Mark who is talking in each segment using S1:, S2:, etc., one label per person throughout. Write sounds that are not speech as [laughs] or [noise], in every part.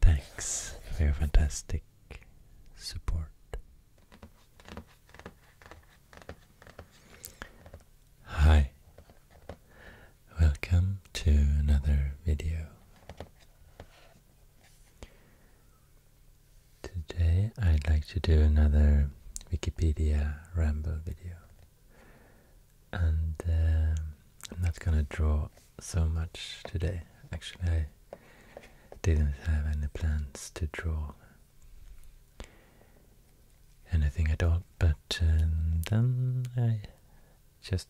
S1: Thanks for your fantastic support. Hi, welcome to another video. Today I'd like to do another Wikipedia ramble video and um, I'm not gonna draw so much today. Actually, I didn't have any plans to draw anything at all, but um, then I just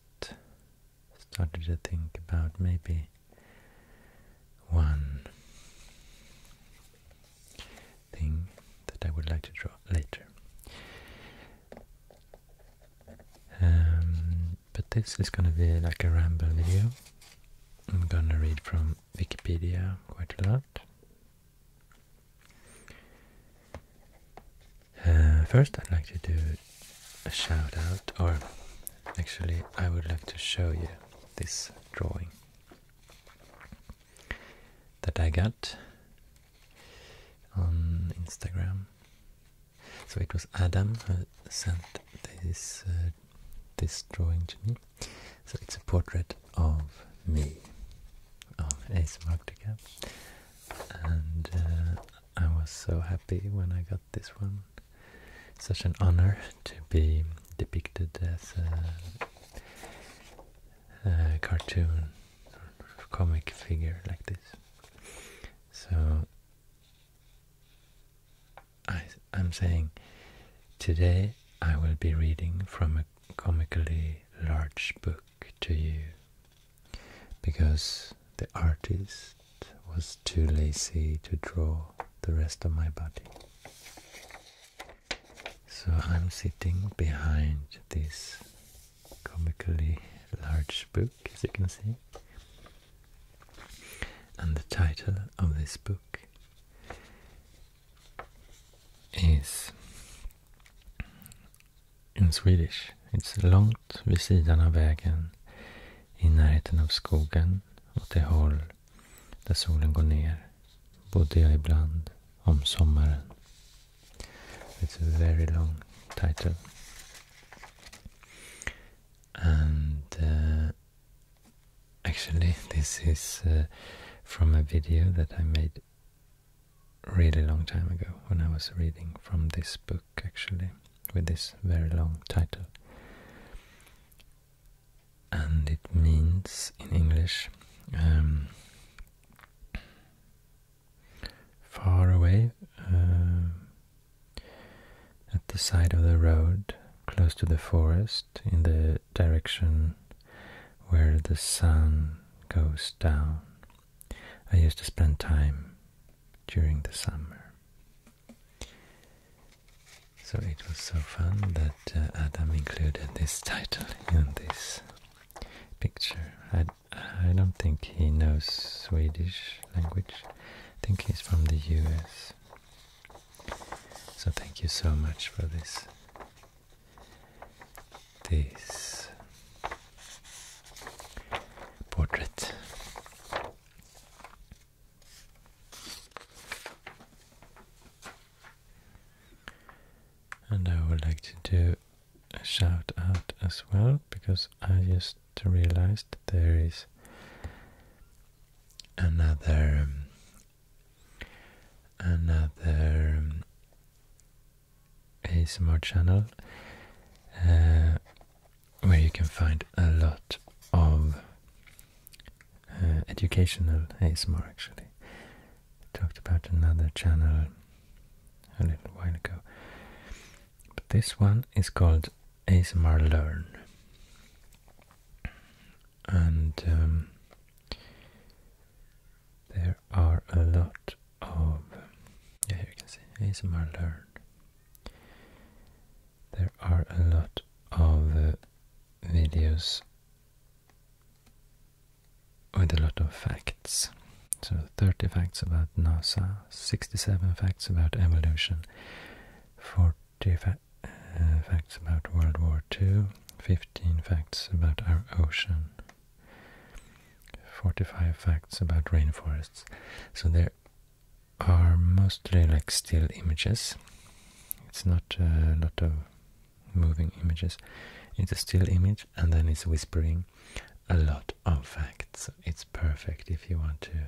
S1: started to think about maybe one thing that I would like to draw later. Um, but this is gonna be like a ramble video. I'm gonna read from Wikipedia quite a lot. Uh, first, I'd like to do a shout out, or actually, I would like to show you this drawing that I got on Instagram. So it was Adam who sent this uh, this drawing to me. So it's a portrait of me, of Ace Magdica. And uh, I was so happy when I got this one. Such an honor to be depicted as a cartoon comic figure like this. So I, am saying today I will be reading from a comically large book to you because the artist was too lazy to draw the rest of my body. So I'm sitting behind this comically large book, as you can see. And the title of this book is in Swedish. It's långt vid sidan av vägen, i närheten av skogen, åt det håll där solen går ner, bodde jag ibland om sommaren. It's a very long title. And uh, actually, this is uh, from a video that I made really long time ago when I was reading from this book, actually, with this very long title. And it means in English um, far away um, at the side of the road, close to the forest, in the direction where the sun goes down. I used to spend time during the summer. So it was so fun that uh, Adam included this title in this picture. I don't think he knows Swedish language. I think he's from the US. So thank you so much for this. This portrait. And I would like to do shout out as well because I just realized there is another um, another um, ASMR channel uh, where you can find a lot of uh, educational ASMR actually. talked about another channel a little while ago. But this one is called ASMR Learn. And um, there are a lot of, yeah, you can see ASMR Learn. There are a lot of uh, videos with a lot of facts. So 30 facts about NASA, 67 facts about evolution, 40 uh, facts about World War II, 15 facts about our ocean, 45 facts about rainforests. So there are mostly like still images. It's not a lot of moving images. It's a still image and then it's whispering a lot of facts. It's perfect if you want to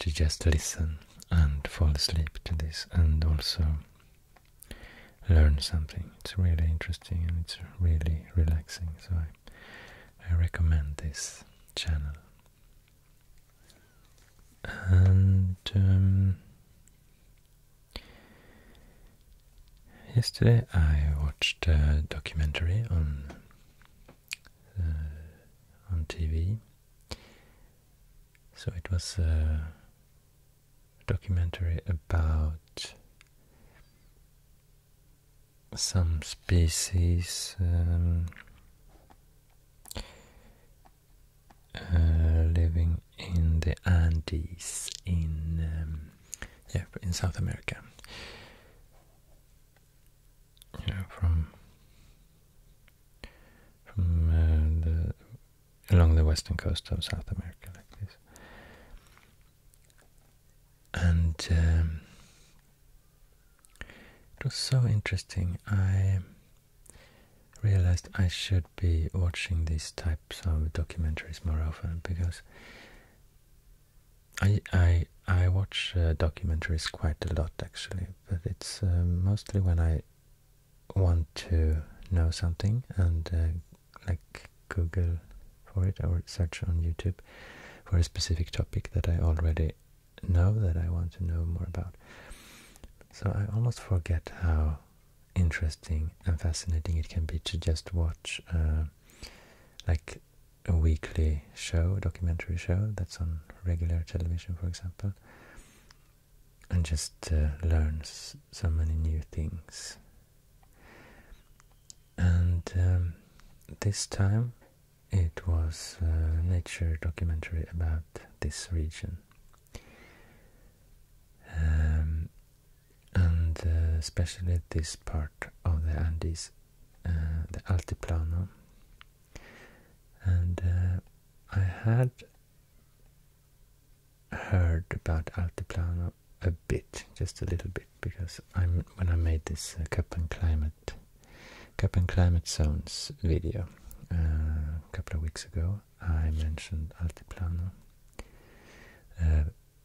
S1: to just listen and fall asleep to this and also learn something. It's really interesting and it's really relaxing. So I, I recommend this channel. And um, Yesterday I watched a documentary on uh, on TV. So it was a documentary about some species um, uh, living in the Andes in um, yeah, in South America. You know, from from uh, the along the western coast of South America, like this, and um, it was so interesting. I realized I should be watching these types of documentaries more often because I I I watch uh, documentaries quite a lot actually, but it's uh, mostly when I want to know something and uh, like Google for it or search on YouTube for a specific topic that I already know that I want to know more about. So I almost forget how interesting and fascinating it can be to just watch like a weekly show, a documentary show that's on regular television, for example, and just uh, learns so many new things. And um, this time it was a uh, nature documentary about this region. Um, and uh, especially this part of the Andes, uh, the Altiplano. And uh, I had heard about Altiplano a bit, just a little bit, because I'm when I made this uh, cup and climate, cup and climate zones video a couple of weeks ago, I mentioned Altiplano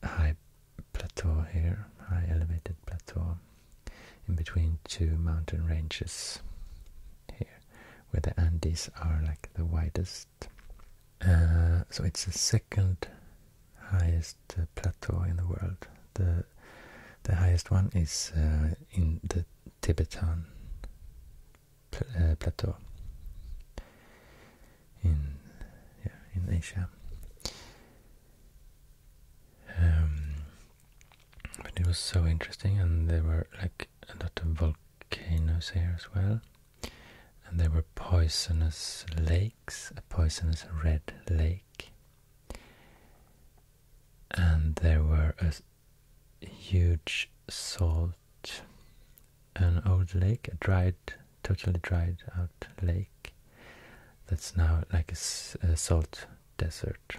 S1: high plateau here, high elevated plateau in between two mountain ranges here, where the Andes are like the widest. Uh, so it's the second highest uh, plateau in the world. The the highest one is uh, in the Tibetan plateau in in Asia. Um, but it was so interesting, and there were like a lot of volcanoes here as well, and there were poisonous lakes, a poisonous red lake, and there were a huge salt, an old lake, a dried totally dried out lake that's now like a, salt desert.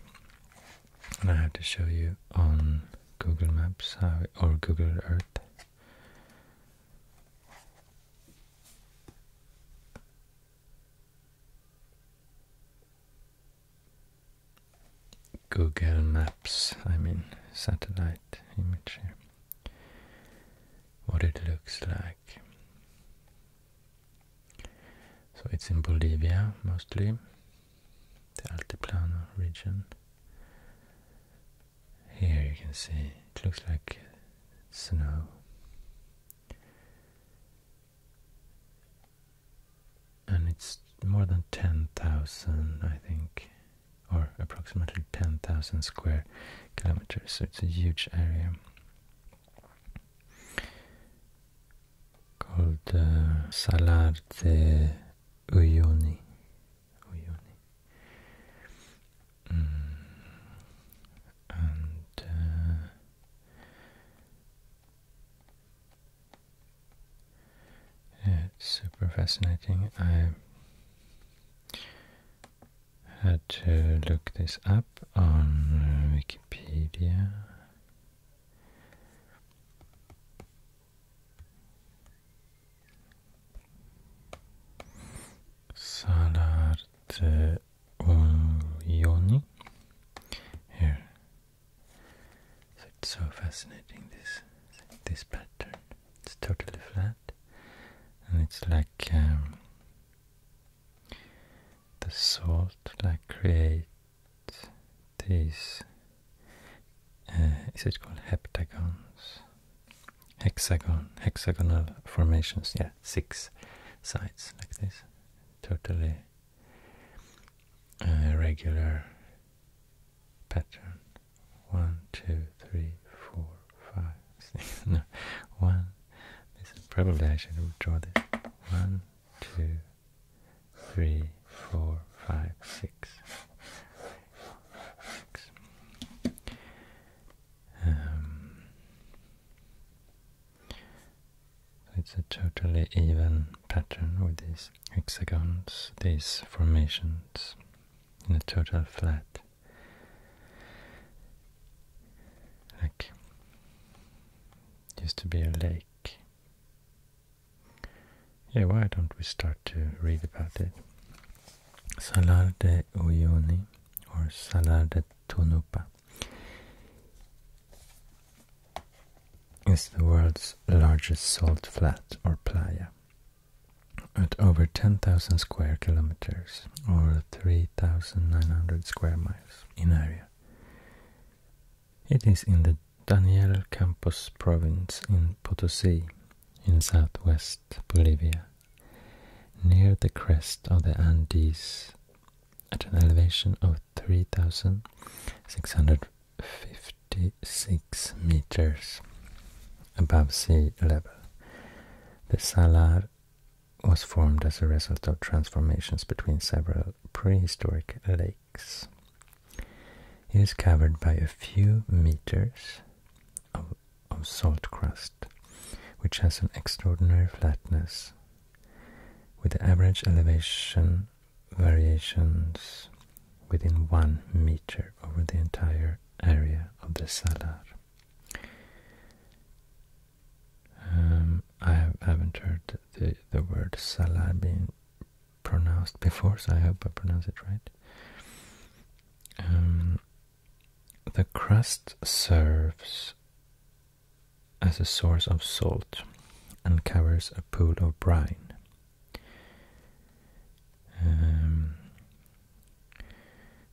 S1: And I have to show you on Google Maps or Google Earth. Google Maps, I mean satellite image What it looks like. So it's in Bolivia mostly, the Altiplano region. Here you can see it looks like snow. And it's more than 10,000, I think, or approximately 10,000 square kilometers, so it's a huge area called uh, de Uyuni. Mm. And uh, it's super fascinating had to look this up on uh, Wikipedia. Salarte Ulioni. Here. So it's so fascinating this this pattern. It's totally flat and it's like um, the salt that creates these uh, is it called heptagons? Hexagon, hexagonal formations, yeah, six sides like this, totally uh, regular pattern. One, two, three, four, five, no, [laughs] one, probably I should draw this, one, two, three, four, five, six, six. Um, it's a totally even pattern with these hexagons, these formations in a total flat like used to be a lake. Yeah, why don't we start to read about it? Salar de Uyuni or Salar de Tunupa is the world's largest salt flat or playa at over 10,000 square kilometers or 3,900 square miles in area. It is in the Daniel Campos province in Potosi, in southwest Bolivia, near the crest of the Andes at an elevation of 3,656 meters above sea level. The Salar was formed as a result of transformations between several prehistoric lakes. It is covered by a few meters of, salt crust, which has an extraordinary flatness, with average elevation variations within one meter over the entire area of the salar. Um, I have, not heard the, word Salah being pronounced before, so I hope I pronounce it right. Um, the crust serves as a source of salt and covers a pool of brine. Um,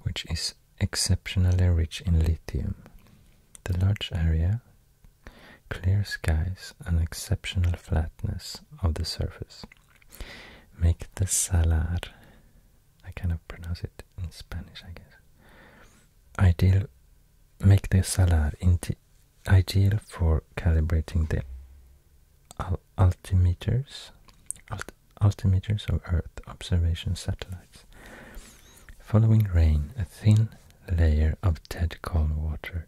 S1: which is exceptionally rich in lithium. The large area, clear skies, and exceptional flatness of the surface make the salar, I kind of pronounce it in Spanish, I guess, ideal, make the salar ideal for calibrating the altimeters, altimeters of Earth observation satellites. Following rain, a thin layer of dead calm water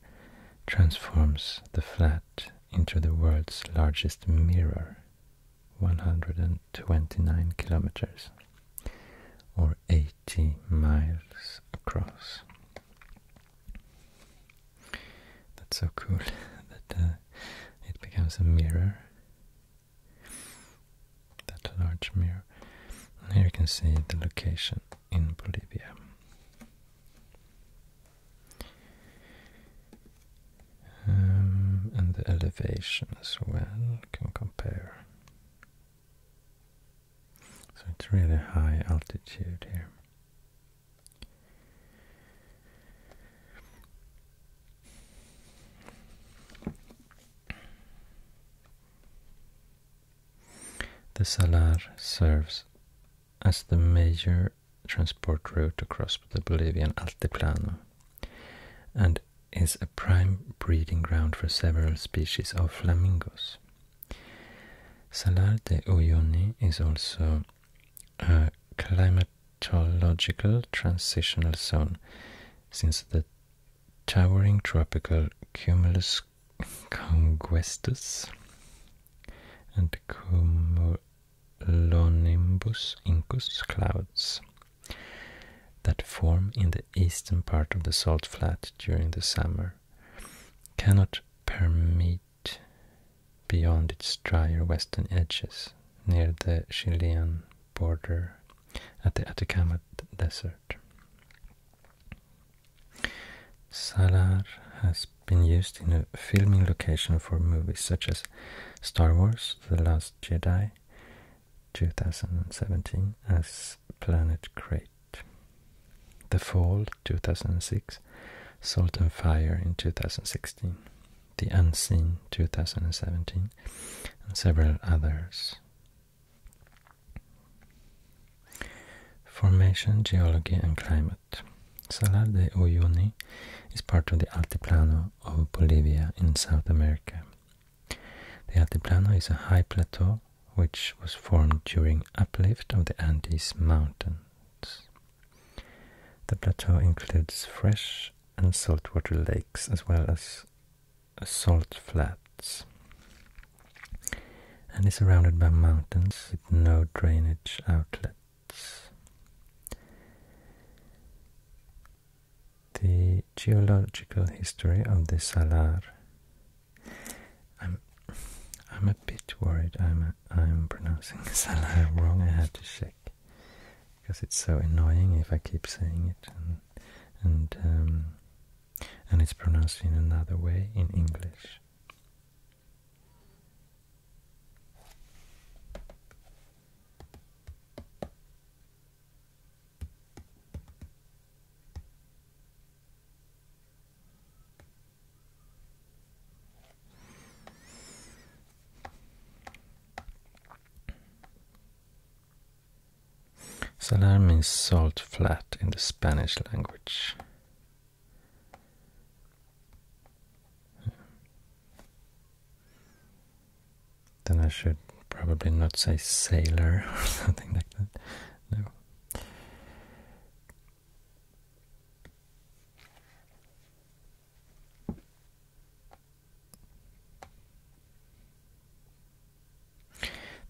S1: transforms the flat into the world's largest mirror, 129 kilometers or 80 miles across. That's so cool [laughs] that uh, it becomes a mirror that large mirror. And here you can see the location in Bolivia. Um, and the elevation as well, can compare. So it's really high altitude here. The Salar serves as the major transport route across the Bolivian Altiplano and is a prime breeding ground for several species of flamingos. Salar de Uyuni is also a climatological transitional zone since the towering tropical cumulus congestus and cumulonimbus incus clouds that form in the eastern part of the salt flat during the summer cannot permeate beyond its drier western edges near the Chilean border at the Atacama Desert. Salar has been used in a filming location for movies such as Star Wars The Last Jedi 2017 as Planet Crate, The Fall 2006, Salt and Fire in 2016, The Unseen 2017, and several others. Formation, geology and climate. Salar de Uyuni is part of the Altiplano of Bolivia in South America. The Altiplano is a high plateau which was formed during uplift of the Andes Mountains. The plateau includes fresh and saltwater lakes as well as salt flats and is surrounded by mountains with no drainage outlets. The geological history of the Salar. I'm I'm a bit worried. I'm a, I'm pronouncing [laughs] Salar wrong. I had to check because it's so annoying if I keep saying it and and um, and it's pronounced in another way in English. Salar means salt flat in the Spanish language. Then I should probably not say sailor [laughs] or something like that.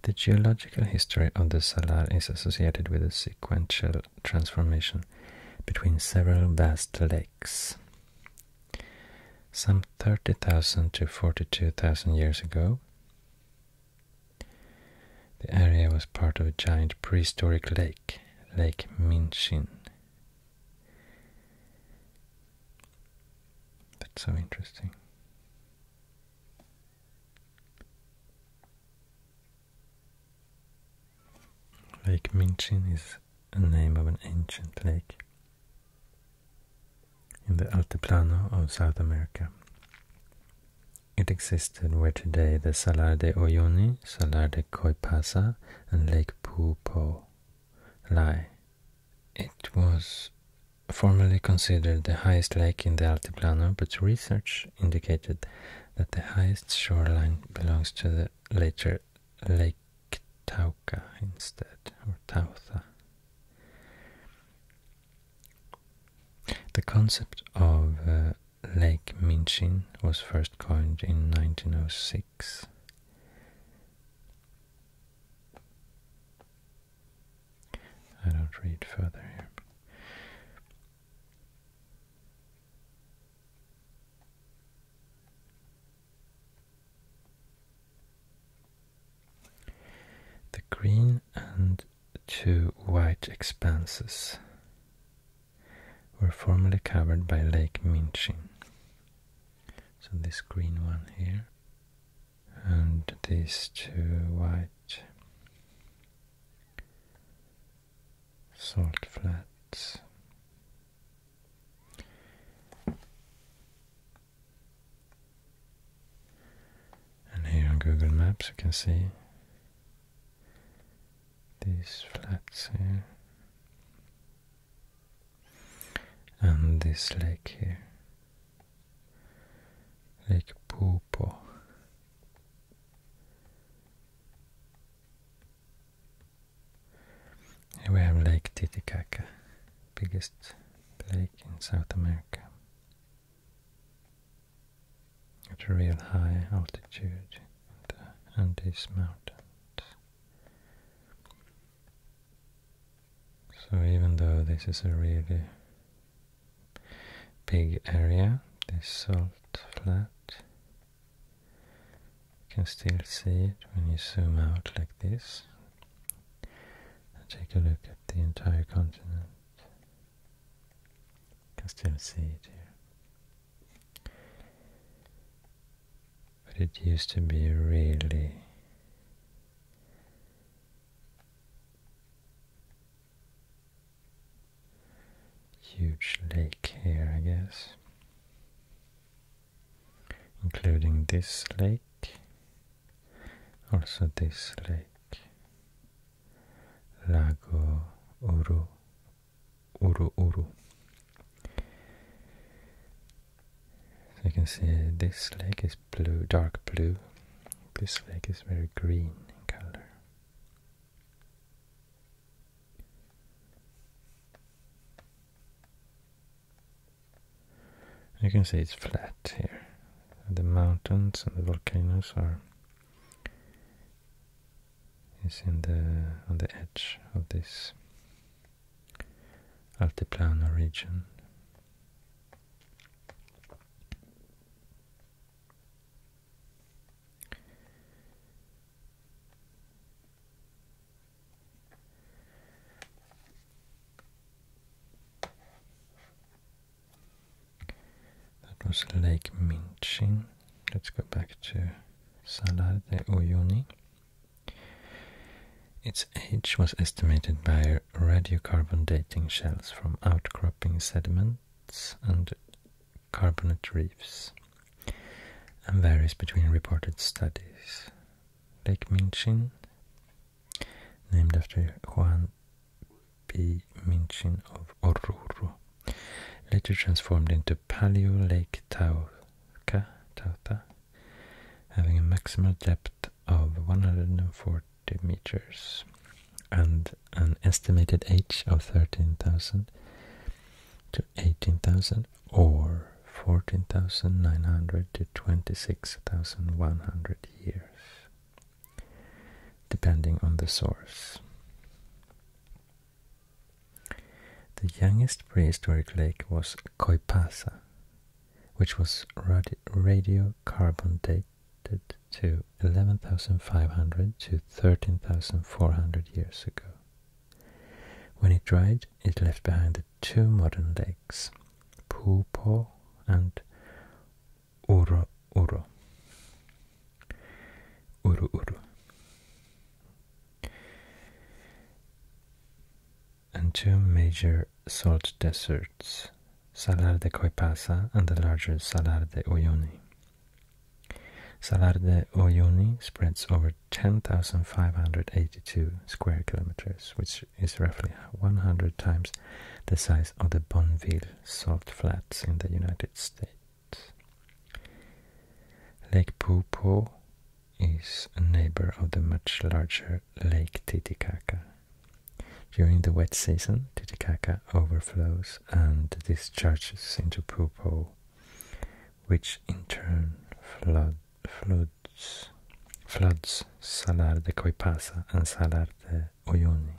S1: The geological history of the Salar is associated with a sequential transformation between several vast lakes. Some 30,000 to 42,000 years ago, the area was part of a giant prehistoric lake, Lake Minchin. That's so interesting. Lake Minchin is a name of an ancient lake in the Altiplano of South America. It existed where today the Salar de Oyoni, Salar de Coipasa, and Lake Pupo lie. It was formerly considered the highest lake in the Altiplano, but research indicated that the highest shoreline belongs to the later Lake Tauca instead, or Tautha. The concept of uh, Lake Minchin was first coined in 1906. I don't read further here. The green and two white expanses were formerly covered by Lake Minchin. So this green one here and these two white salt flats. And here on Google Maps you can see these flats here and this lake here. Lake pupo. we have Lake Titicaca, biggest lake in South America at a real high altitude in the Andes Mountains. So even though this is a really big area, this salt flat, you can still see it when you zoom out like this and take a look at the entire continent. You can still see it here. But it used to be really Huge lake here, I guess, including this lake, also this lake, Lago Uru, Uru Uru you can see this lake is blue, dark blue. This lake is very green in color. You can see it's flat here. The mountains and the volcanoes are is in the on the edge of this altiplano region. That was Lake Minchin. Let's go back to Salar de Uyuni. Its age was estimated by radiocarbon dating shells from outcropping sediments and carbonate reefs and varies between reported studies. Lake Minchin, named after Juan P. Minchin of Oruro, later transformed into Paleo Lake Tauca, Tauta, having a maximum depth of 140 meters and an estimated age of 13,000 to 18,000 or 14,900 to 26,100 years, depending on the source. The youngest prehistoric lake was Coipasa, which was radiocarbon dated to 11,500 to 13,400 years ago. When it dried, it left behind the two modern lakes, Pupo and Uru Uru. And two major salt deserts Salar de Coipasa and the larger Salar de Uyuni. Salar de Uyuni spreads over 10,582 square kilometers, which is roughly 100 times the size of the Bonneville salt flats in the United States. Lake Pupo is a neighbor of the much larger Lake Titicaca during the wet season, Titicaca overflows and discharges into Pupo, which in turn floods, floods Salar de Coipasa and Salar de Uyuni.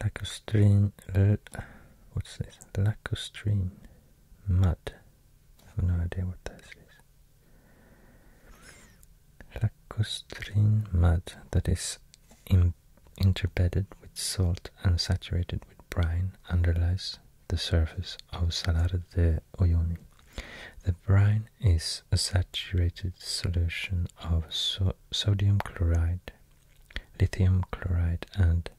S1: Lacustrine, what's this? Lacustrine mud. I have no idea what that is. Lacustrine mud that is interbedded with salt and saturated with brine underlies the surface of Salar de Oyoni. The brine is a saturated solution of salt sodium chloride, lithium chloride, and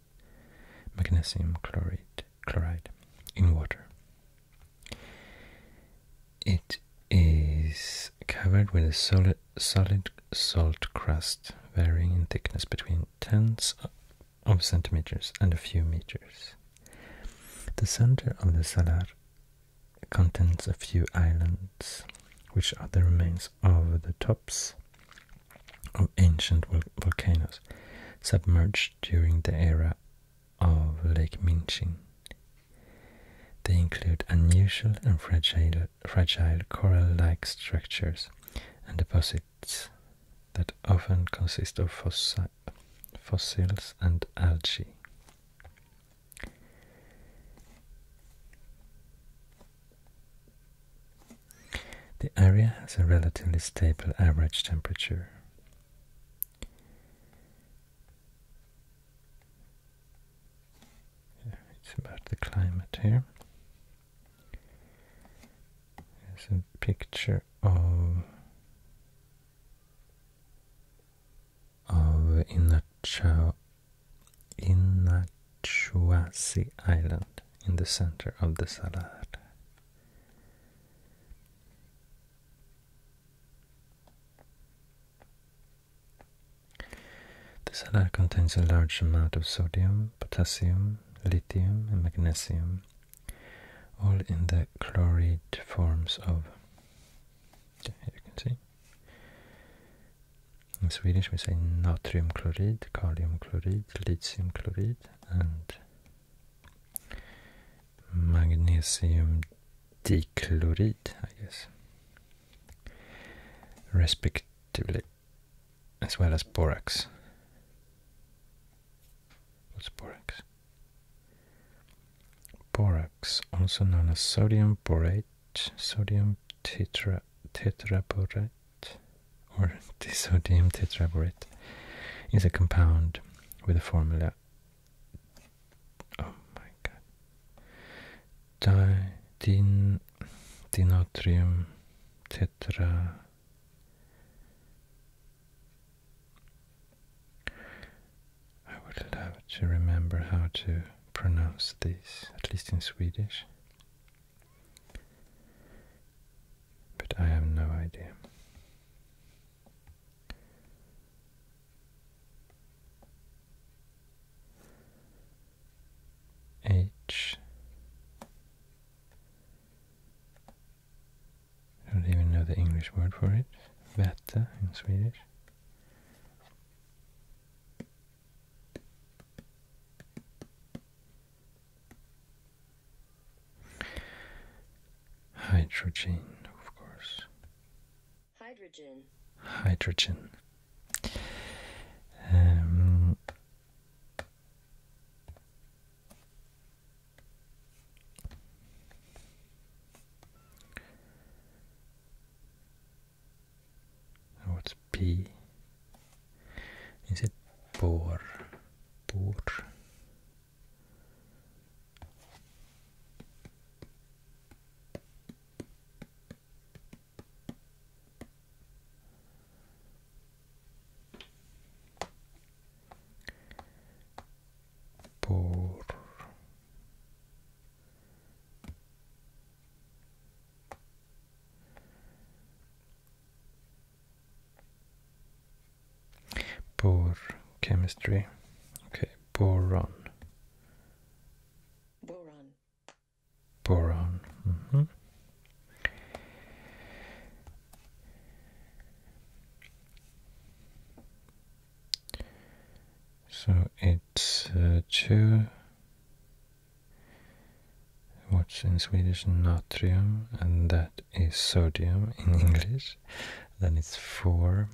S1: magnesium chloride, chloride in water. It is covered with a solid, solid salt crust varying in thickness between tens of centimeters and a few meters. The center of the salar contains a few islands, which are the remains of the tops of ancient volcanoes submerged during the era of Lake Minchin. They include unusual and fragile, coral-like structures and deposits that often consist of fossils and algae. The area has a relatively stable average temperature. it's about the climate here. There's a picture of of Inachao in Inachuasi Island in the center of the Salar. The salar contains a large amount of sodium, potassium, lithium, and magnesium, all in the chloride forms of. Here you can see in Swedish we say natrium chloride, kalium chloride, lithium chloride and magnesium dichloride, I guess, respectively, as well as borax. What's borax? Borax, also known as sodium borate, sodium tetra borate, or [laughs] disodium tetra borate, is a compound with a formula oh my god Di dinotrium tetra I would love to remember how to pronounce this, at least in Swedish. But I have no idea. H. I don't even know the English word for it. Better in Swedish. Hydrogen, of course. Hydrogen. Hydrogen. Um, What's P? Is it Poor? Poor. Bor chemistry. Okay, boron. Boron. Boron. Mm-hmm. So it's uh, two What's in Swedish? Natrium, and that is sodium in English. Then it's four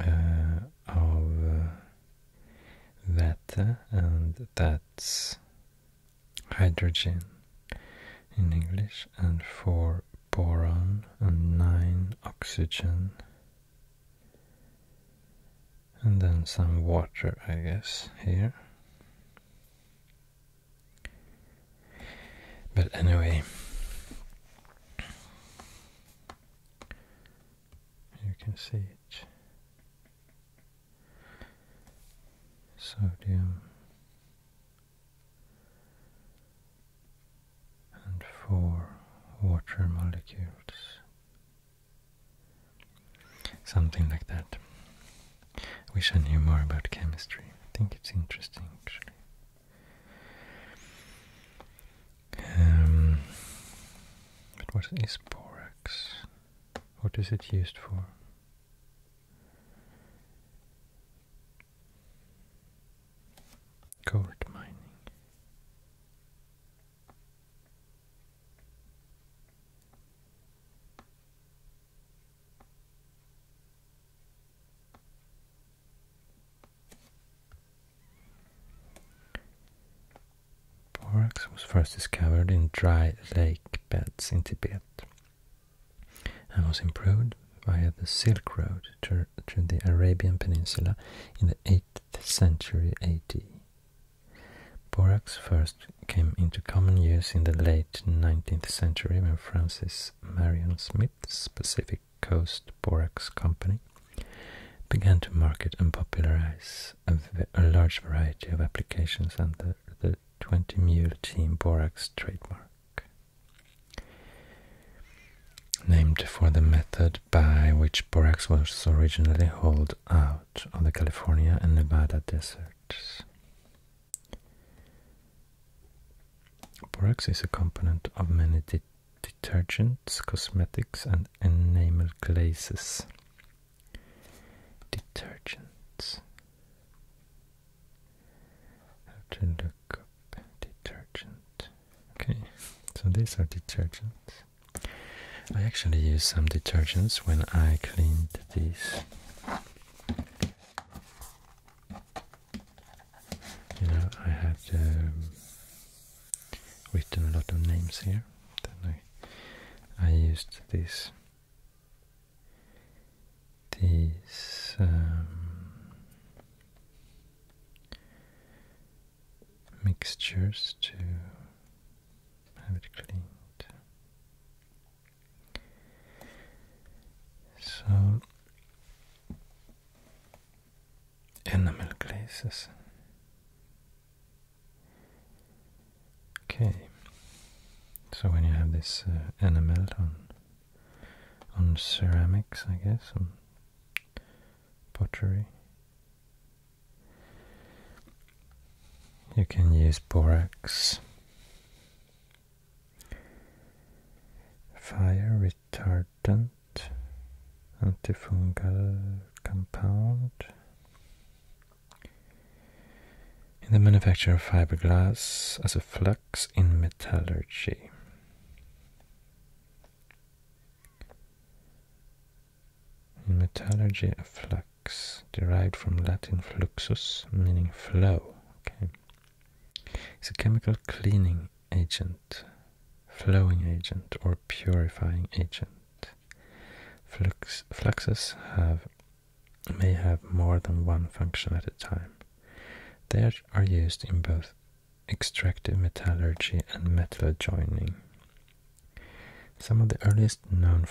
S1: uh, of uh, that, and that's hydrogen in English, and four boron and nine oxygen and then some water, I guess, here. But anyway, you can see it. Sodium and four water molecules Something like that. I wish I knew more about chemistry. I think it's interesting actually. Um, what is borax? What is it used for? Gold mining. Borax was first discovered in dry lake beds in Tibet and was improved via the Silk Road to, to the Arabian Peninsula in the 8th century AD. Borax first came into common use in the late 19th century when Francis Marion Smith's Pacific Coast Borax Company began to market and popularize a, large variety of applications under the 20 Mule Team Borax trademark. Named for the method by which borax was originally hauled out of the California and Nevada deserts. Borax is a component of many detergents, cosmetics, and enamel glazes. Detergents. Have to look up detergent. Okay, so these are detergents. I actually use some detergents when I cleaned these. You know, I have um, written a lot of names here. Then I, I used this, these um, mixtures to have it cleaned. So enamel glazes. Okay, so when you have this enamel uh, on on ceramics, I guess, on pottery, you can use borax. Fire retardant, antifungal compound. In the manufacture of fiberglass as a flux in metallurgy. In metallurgy, a flux derived from Latin fluxus, meaning flow. Okay. It's a chemical cleaning agent, flowing agent, or purifying agent. fluxes have may have more than one function at a time. They are used in both extractive metallurgy and metal joining. Some of the earliest known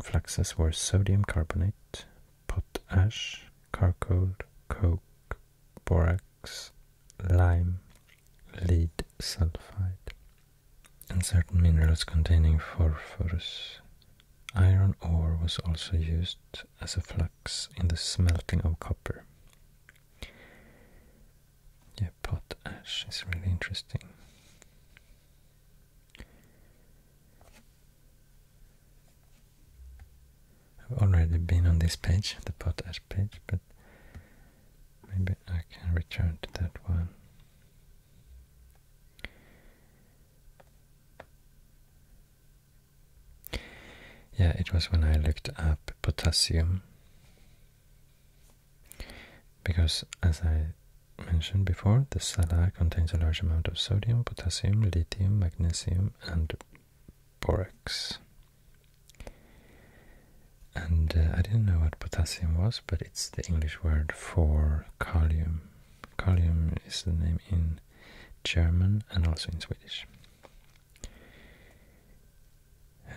S1: fluxes were sodium carbonate, potash, charcoal, coke, borax, lime, lead sulfide, and certain minerals containing phosphorus. Iron ore was also used as a flux in the smelting of copper. Yeah, potash is really interesting. I've already been on this page, the potash page, but maybe I can return to that one. Yeah, it was when I looked up potassium. Because, as I mentioned before, the salar contains a large amount of sodium, potassium, lithium, magnesium, and borax. And uh, I didn't know what potassium was, but it's the English word for kalium. Kalium is the name in German and also in Swedish.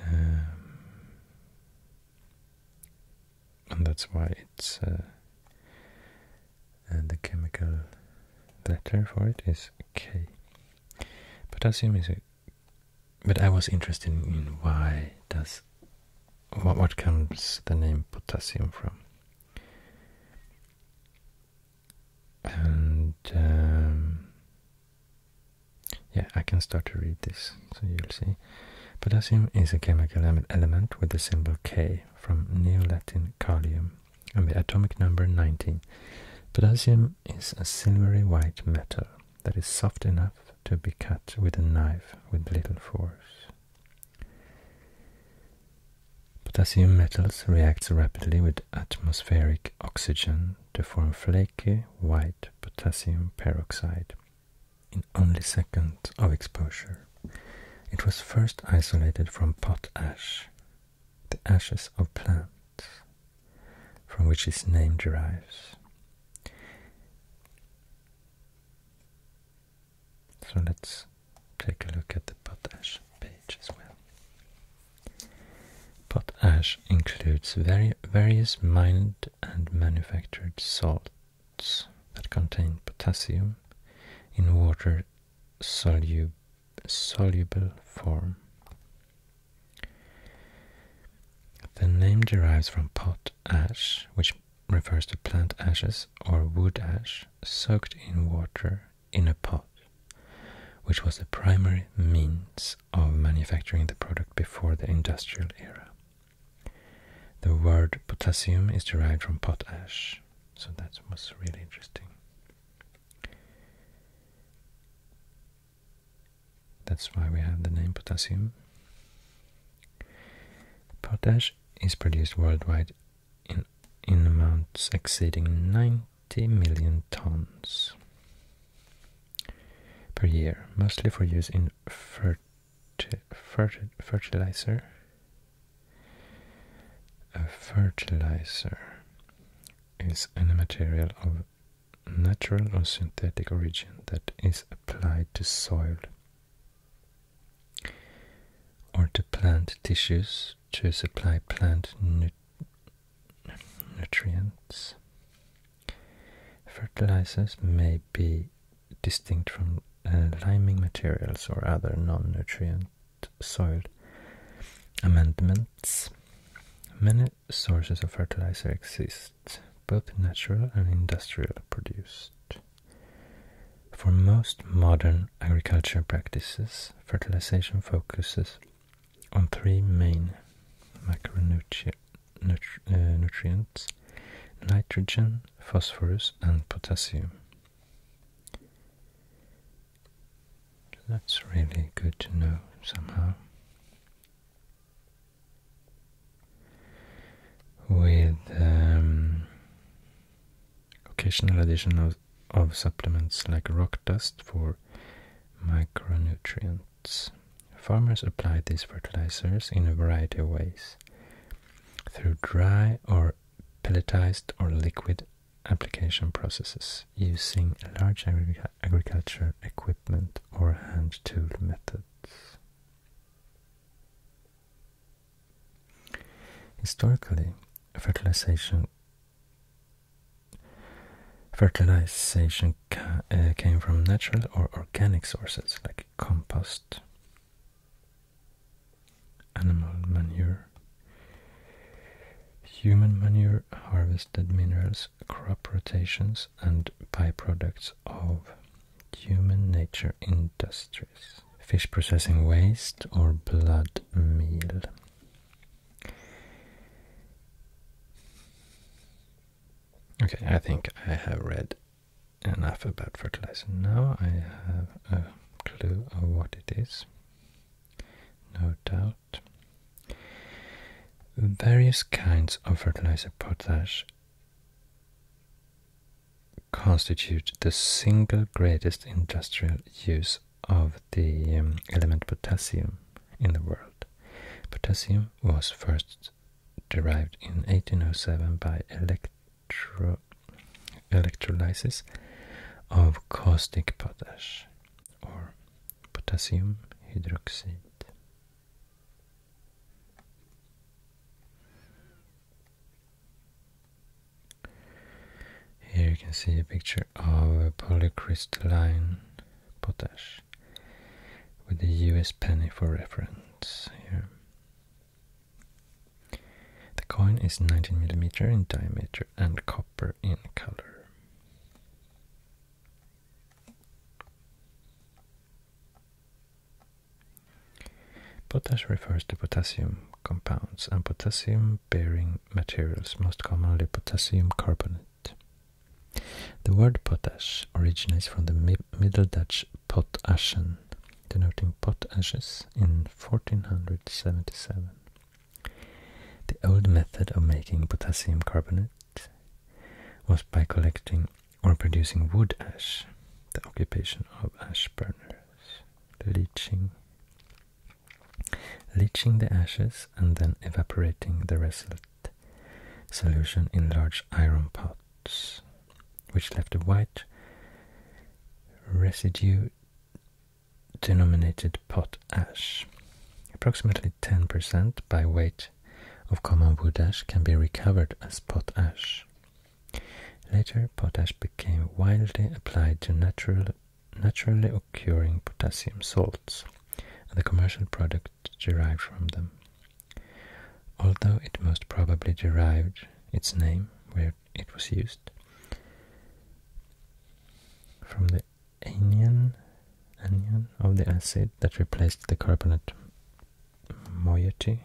S1: Um, and that's why it's and uh, uh, the chemical letter for it is K. Potassium is a but I was interested in why does what what comes the name potassium from, and um, yeah, I can start to read this, so you'll see. Potassium is a chemical element with the symbol K from Neo-Latin kalium and the atomic number 19. Potassium is a silvery white metal that is soft enough to be cut with a knife with little force. Potassium metals react rapidly with atmospheric oxygen to form flaky white potassium peroxide, in only seconds of exposure. It was first isolated from potash, the ashes of plants, from which its name derives. So let's take a look at the potash page as well. Potash includes very various mined and manufactured salts that contain potassium in water soluble form. The name derives from pot ash, which refers to plant ashes or wood ash soaked in water in a pot, which was the primary means of manufacturing the product before the industrial era. The word potassium is derived from potash, so that was really interesting. That's why we have the name potassium. Potash is produced worldwide in, in amounts exceeding 90 million tons per year, mostly for use in fertilization fertilizer a fertilizer is any material of natural or synthetic origin that is applied to soil or to plant tissues to supply plant nutrients. Fertilizers may be distinct from liming uh, materials or other non-nutrient soil amendments. Many sources of fertilizer exist, both natural and industrial produced. For most modern agriculture practices, fertilization focuses on three main macronutrients, uh, nitrogen, phosphorus, and potassium. That's really good to know somehow. With um, occasional addition of, of supplements like rock dust for micronutrients. Farmers apply these fertilizers in a variety of ways through dry or pelletized or liquid application processes using large agri agriculture equipment or hand tool methods. Historically, fertilization fertilization uh, came from natural or organic sources like compost Animal manure. Human manure, harvested minerals, crop rotations, and byproducts of human nature industries. Fish processing waste or blood meal. Okay, I think I have read enough about fertilizer now. I have a clue of what it is, no doubt. Various kinds of fertilizer potash constitute the single greatest industrial use of the um, element potassium in the world. Potassium was first derived in 1807 by elect electrolysis of caustic potash or potassium hydroxide. Here you can see a picture of a polycrystalline potash with a US penny for reference here. The coin is 19mm in diameter and copper in color. Potash refers to potassium compounds and potassium-bearing materials, most commonly potassium carbonate. The word potash originates from the Middle Dutch pot ashen, denoting pot ashes, in 1477. The old method of making potassium carbonate was by collecting or producing wood ash, the occupation of ash burners, leaching, leaching the ashes and then evaporating the result solution in large iron pots which left a white residue denominated pot ash. Approximately 10% by weight of common wood ash can be recovered as pot ash. Later, potash became widely applied to naturally occurring potassium salts and the commercial product derived from them. Although it most probably derived its name where it was used. From the anion, anion of the acid that replaced the carbonate moiety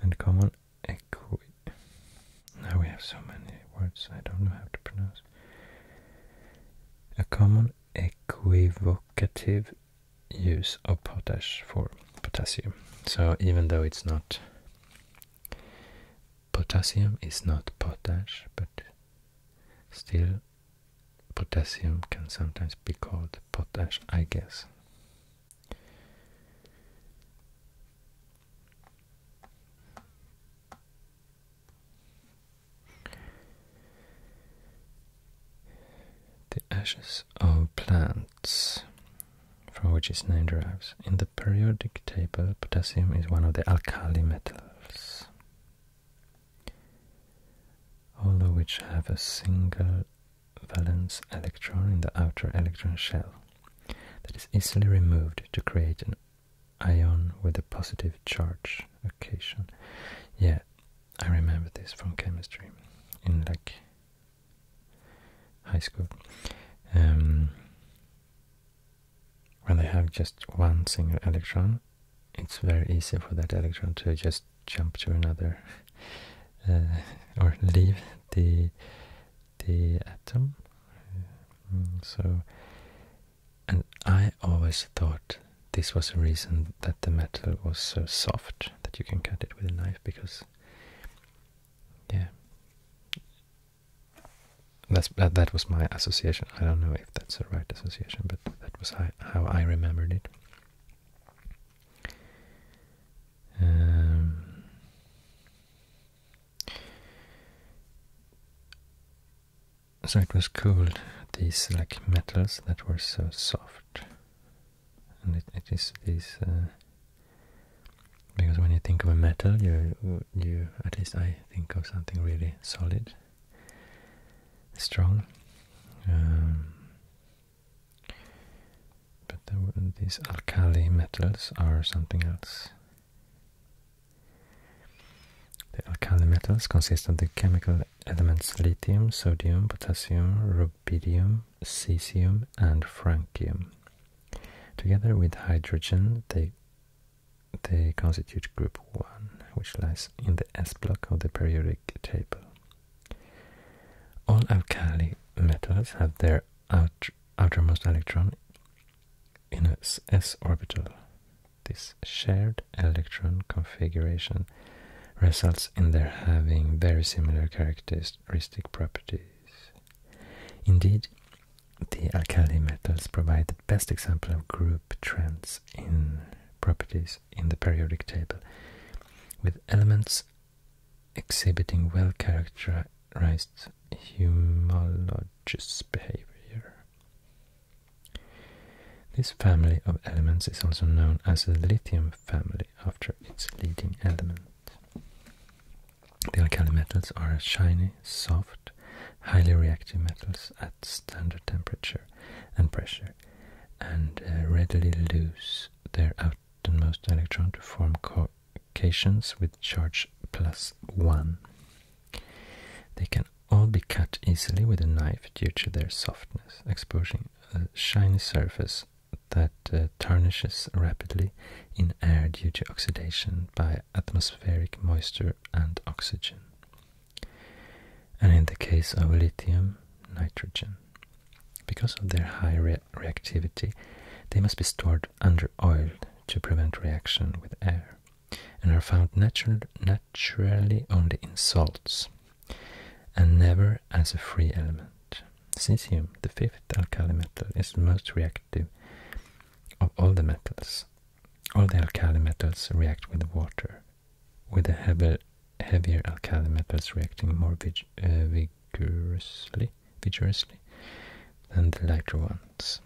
S1: and common equi. Now we have so many words I don't know how to pronounce. A common equivocative use of potash for potassium. So even though it's not potassium is not potash, but still potassium can sometimes be called potash, I guess ashes of plants from which its name derives. In the periodic table, potassium is one of the alkali metals, all of which have a single valence electron in the outer electron shell that is easily removed to create an ion with a positive charge occasion. Yeah, I remember this from chemistry in like high school, um, when they have just one single electron, it's very easy for that electron to just jump to another [laughs] uh, or leave the the atom. Mm, so, and I always thought this was the reason that the metal was so soft that you can cut it with a knife because yeah. That's that, was my association. I don't know if that's the right association, but that was how, I remembered it. Um, so it was cool these like metals that were so soft and it is these uh, because when you think of a metal, you you at least I think of something really solid, strong. Um, but these alkali metals are something else. The alkali metals consist of the chemical elements lithium, sodium, potassium, rubidium, cesium and francium. Together with hydrogen, they, constitute group 1, which lies in the S block of the periodic table. All alkali metals have their outermost electron in s orbital. This shared electron configuration results in their having very similar characteristic properties. Indeed, the alkali metals provide the best example of group trends in properties in the periodic table, with elements exhibiting well characterized homologous behavior. This family of elements is also known as the lithium family after its leading element. The alkali metals are shiny, soft, highly reactive metals at standard temperature and pressure, and uh, readily lose their outermost electron to form cations with charge plus one. They can all be cut easily with a knife due to their softness, exposing a shiny surface that uh, tarnishes rapidly in air due to oxidation by atmospheric moisture and oxygen. And in the case of lithium, nitrogen. Because of their high reactivity, they must be stored under oil to prevent reaction with air, and are found naturally only in salts, and never as a free element. Cesium, the fifth alkali metal, is the most reactive of all the metals. All the alkali metals react with water, with the heavier, alkali metals reacting more uh, vigorously, than the lighter ones.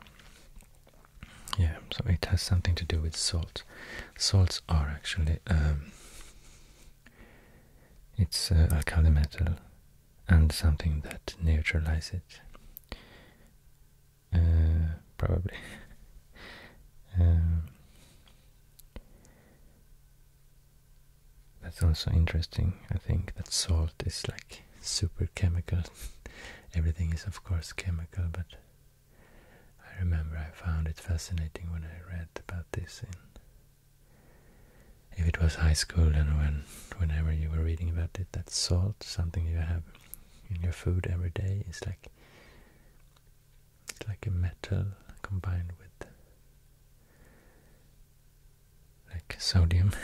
S1: Yeah, so it has something to do with salt. Salts are actually um, it's uh, alkali metal and something that neutralizes it. Uh, probably. [laughs] Um, that's also interesting. I think that salt is like super chemical. [laughs] Everything is, of course, chemical, but I remember I found it fascinating when I read about this in if it was high school and whenever you were reading about it, that salt, something you have in your food every day, is like it's like a metal combined with like sodium. [laughs]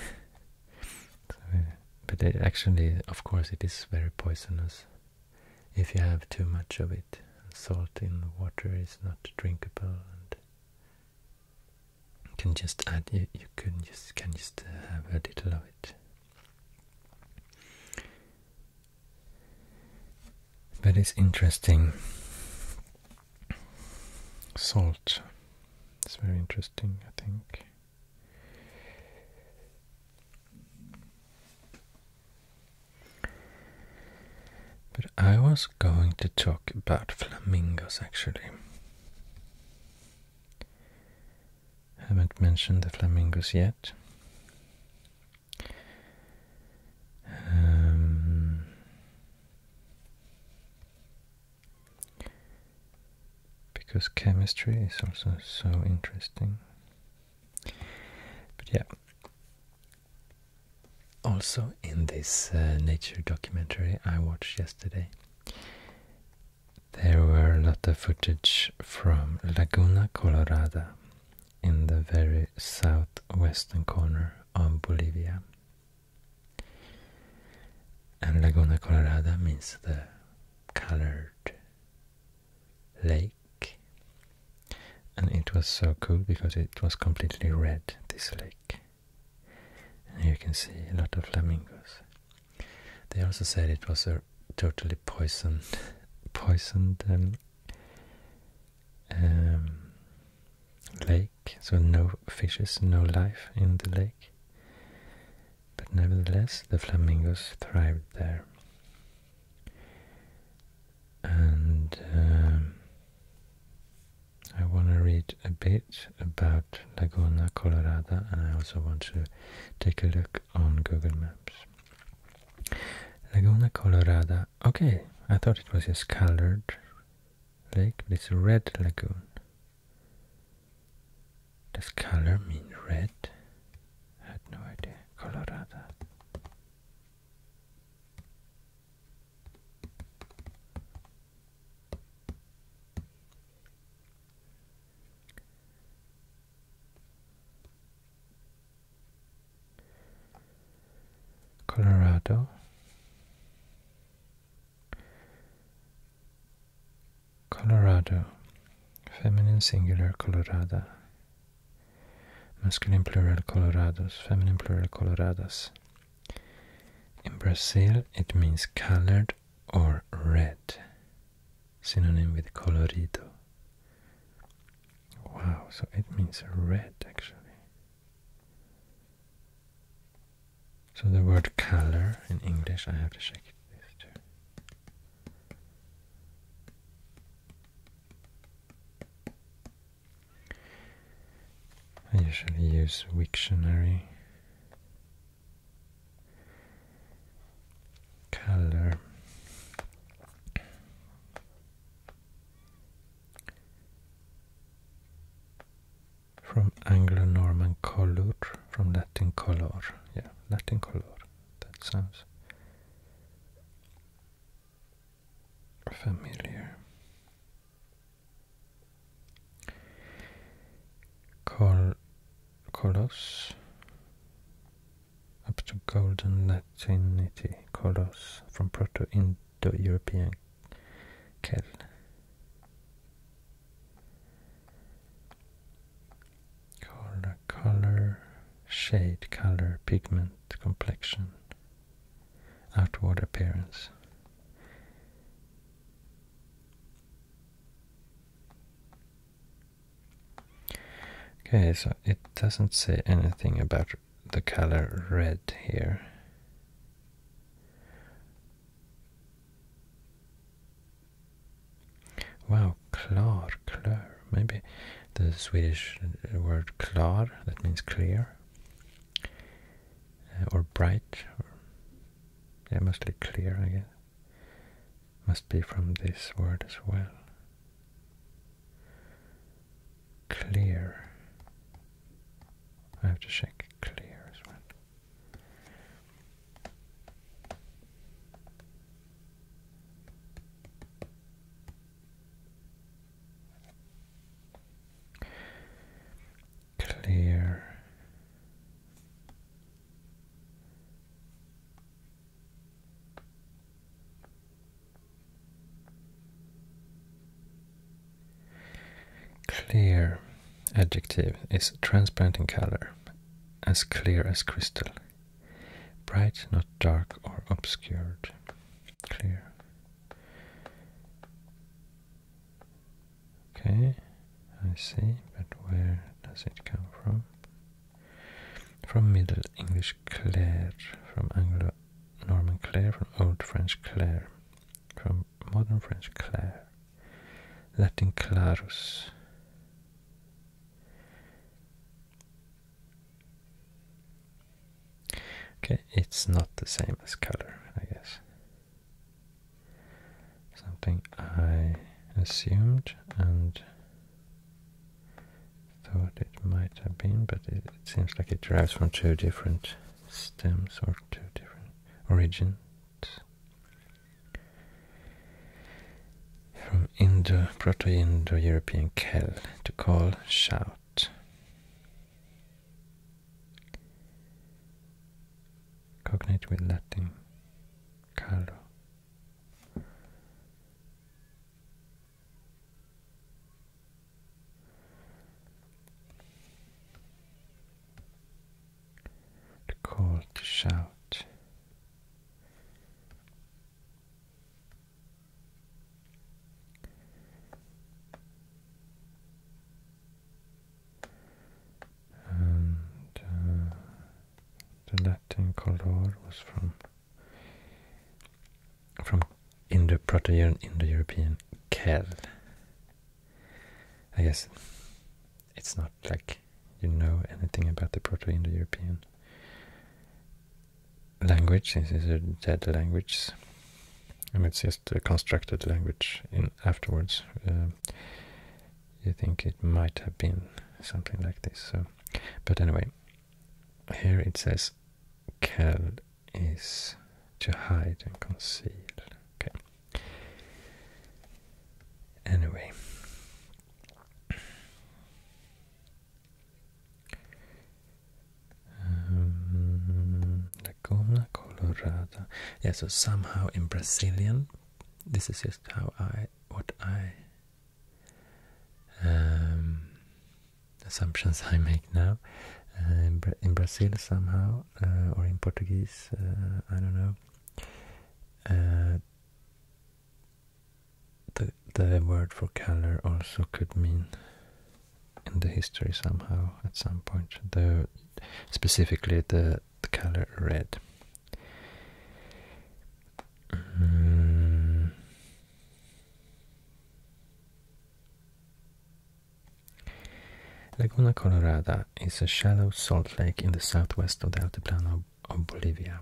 S1: Uh, but actually, of course, it is very poisonous if you have too much of it. Salt in the water is not drinkable you can just add you, you can just can just uh, have a little of it. That is interesting. Salt. It's very interesting, I think. But I was going to talk about flamingos actually. Haven't mentioned the flamingos yet. Um, because chemistry is also so interesting. But yeah, also in this uh, nature documentary I watched yesterday, there were a lot of footage from Laguna Colorada in the very southwestern corner of Bolivia. And Laguna Colorada means the colored lake. And it was so cool because it was completely red, this lake. And you can see a lot of flamingos. They also said it was a totally poisoned, [laughs] poisoned um, um, lake, so no fishes, no life in the lake. But nevertheless, the flamingos thrived there. And um, I want to read a bit about Laguna Colorada and I also want to take a look on Google Maps. Laguna Colorada, okay, I thought it was just colored lake, but it's a red lagoon. Does color mean red? I had no idea. Colorada. Colorado Colorado feminine singular colorada masculine plural colorados feminine plural coloradas in Brazil, it means colored or red, synonym with colorido. Wow, so it means red actually. So the word color in English, I have to check this too. I usually use Wiktionary color from Anglo-Norman color, from Latin color, yeah, Latin color, that sounds familiar. Col Colos up to Golden Latinity, Colos from Proto-Indo-European Kel. color, shade, color, pigment, complexion, outward appearance. Okay, so it doesn't say anything about the color red here. Wow, klar, klar. Maybe the Swedish word klar, that means clear, uh, or bright, yeah, mostly clear, I guess. Must be from this word as well. Clear. I have to check clear as well clear. Clear adjective is transparent in color, as clear as crystal. Bright, not dark or obscured. Clear. Okay, I see, but where does it come from? From Middle English clair, from Anglo Norman clair, from Old French clair, from Modern French clair, Latin clarus. Okay, it's not the same as color, I guess. Something I assumed and thought it might have been, but it, seems like it derives from two different stems or two different origins. From Proto Indo European Kel to call shout cognate with Latin Carlo. The call to shout. Uh, the Latin color was from from Indo-Proto-European Indo-European kel. I guess it's not like you know anything about the Proto-Indo-European language. This is a dead language. And it's just uh, constructed language in afterwards. Uh, you think it might have been something like this. So, but anyway, here it says kel is to hide and conceal. Okay. Anyway. Um, Atacama, Colorado. Yeah, so somehow in Brazilian, this is just how I, what I, um, assumptions I make now. Uh, in, in Brazil somehow, uh, or in Portuguese, uh, I don't know. the the word for color also could mean in the history somehow at some point. The specifically the the color red. Mm. Laguna Colorada is a shallow salt lake in the southwest of the Altiplano of Bolivia,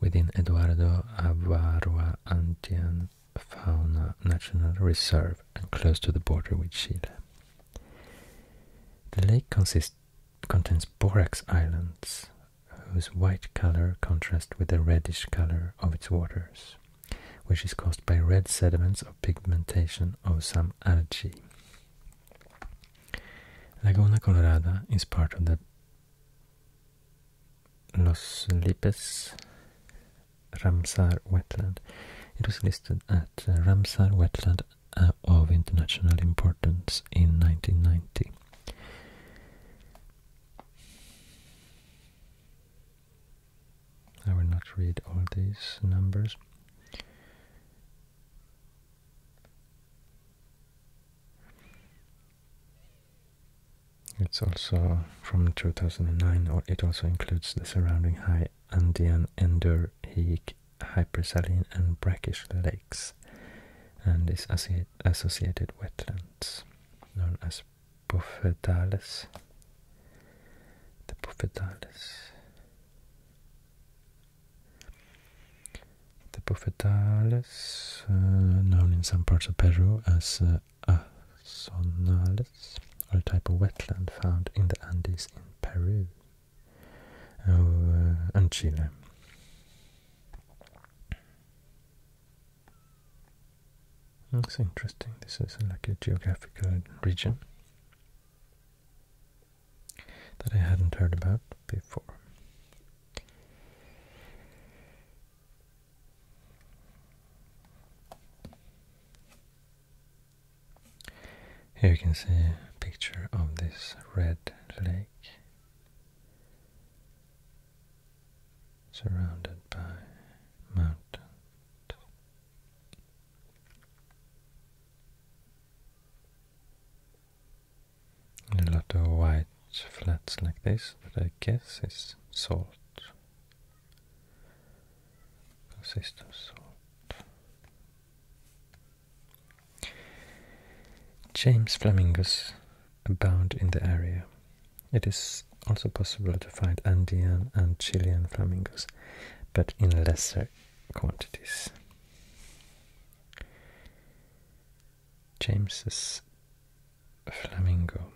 S1: within Eduardo Avaroa Andean Fauna National Reserve and close to the border with Chile. The lake contains borax islands, whose white color contrasts with the reddish color of its waters, which is caused by red sediments or pigmentation of some algae. Laguna Colorada is part of the Los Lipes Ramsar wetland. It was listed at uh, Ramsar Wetland uh, of international importance in 1990. I will not read all these numbers. It's also from 2009, or it also includes the surrounding high Andean Ender Heek hypersaline and brackish lakes and is associated wetlands known as Bufetales. The Bufetales. The Bufetales, uh, known in some parts of Peru as uh, are a type of wetland found in the Andes in Peru uh, and Chile. That's interesting. This is like a geographical region that I hadn't heard about before. Here you can see a picture of this red lake surrounded by mountains. a lot of white flats like this that I guess is salt. Consists of salt. James flamingos abound in the area. It is also possible to find Andean and Chilean flamingos, but in lesser quantities. James's flamingo.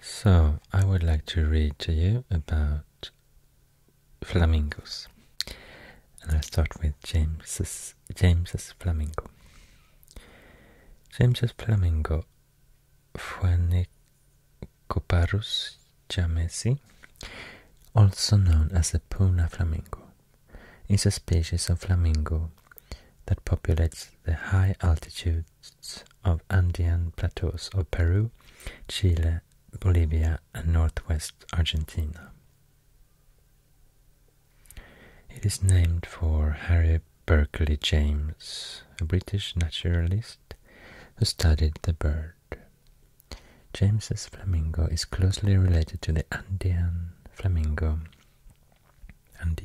S1: So, I would like to read to you about flamingos. And i start with James's, James's flamingo. James's flamingo Fuenicoparus jamesi, also known as the Puna flamingo, is a species of flamingo that populates the high altitude of Andean plateaus of Peru, Chile, Bolivia, and northwest Argentina. It is named for Harry Berkeley James, a British naturalist who studied the bird. James's flamingo is closely related to the Andean flamingo, and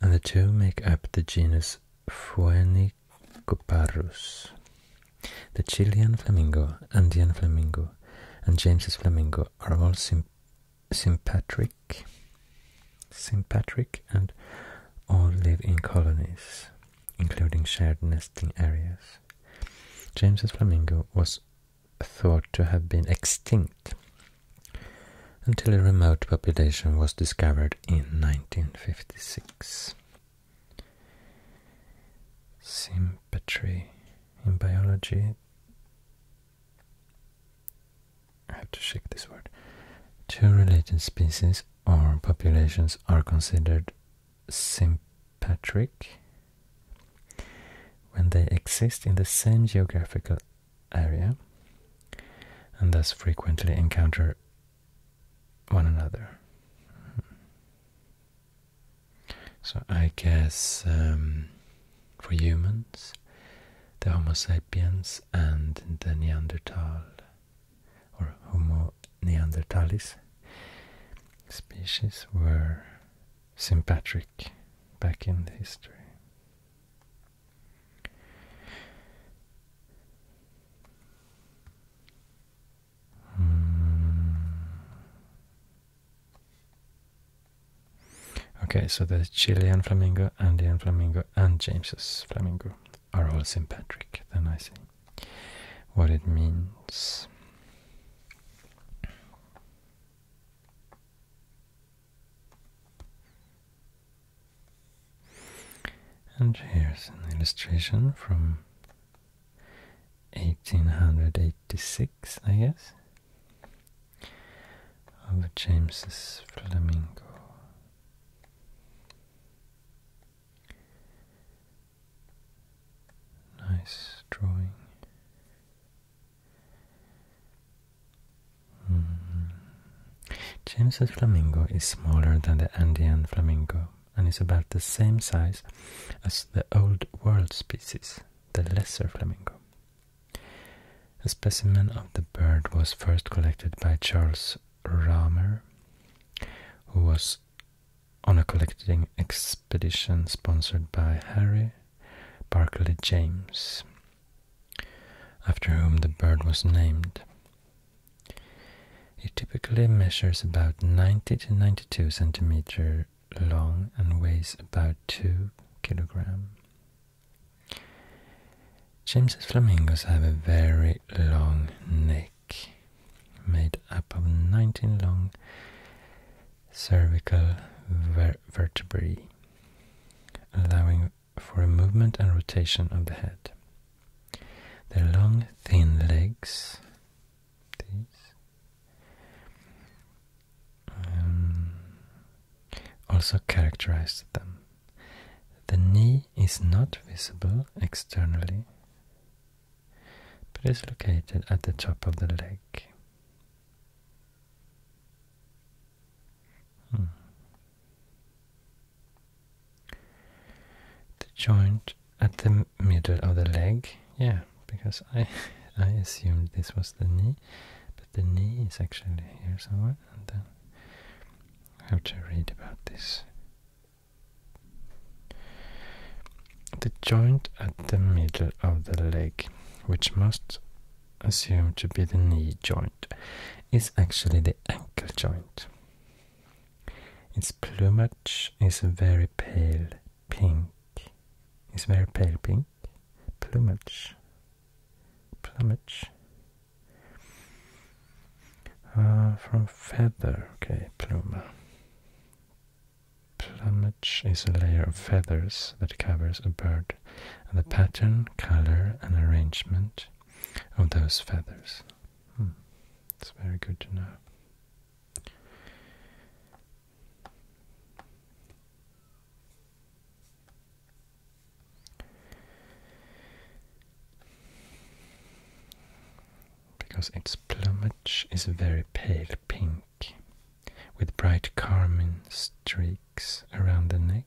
S1: the two make up the genus Fuenicoparus, the Chilean flamingo, Andean flamingo, and James's flamingo are all symp sympatric, sympatric, and all live in colonies, including shared nesting areas. James's flamingo was thought to have been extinct until a remote population was discovered in 1956. Sympatry in biology. I have to check this word. Two related species or populations are considered sympatric when they exist in the same geographical area and thus frequently encounter one another. So I guess um, for humans, the Homo sapiens and the Neanderthal or Homo neanderthalis species were sympatric back in history. Hmm. Okay, so the Chilean flamingo, Andean flamingo, and James's flamingo are all sympatric. Then I see what it means. And here's an illustration from 1886, I guess, of James's Flamingo. Nice drawing. James's flamingo is smaller than the Andean flamingo and is about the same size as the Old World species, the lesser flamingo. A specimen of the bird was first collected by Charles Rahmer, who was on a collecting expedition sponsored by Harry Barclay James, after whom the bird was named. It typically measures about 90 to 92 centimeter long and weighs about 2 kilogram. James's flamingos have a very long neck, made up of 19 long cervical vertebrae, allowing for a movement and rotation of the head. Their long, thin legs, um, also characterized them. The knee is not visible externally, but is located at the top of the leg. Hmm. The joint at the middle of the leg, yeah, because I [laughs] I assumed this was the knee, but the knee is actually here somewhere, and then I have to read about this. The joint at the middle of the leg, which must assume to be the knee joint, is actually the ankle joint. Its plumage is very pale pink. It's very pale pink. Plumage. Plumage. Uh, from feather. Okay, pluma. Plumage is a layer of feathers that covers a bird, and the pattern, color, and arrangement of those feathers Hmm. It's very good to know. Because its plumage is a very pale pink, with bright carmine streaks around the neck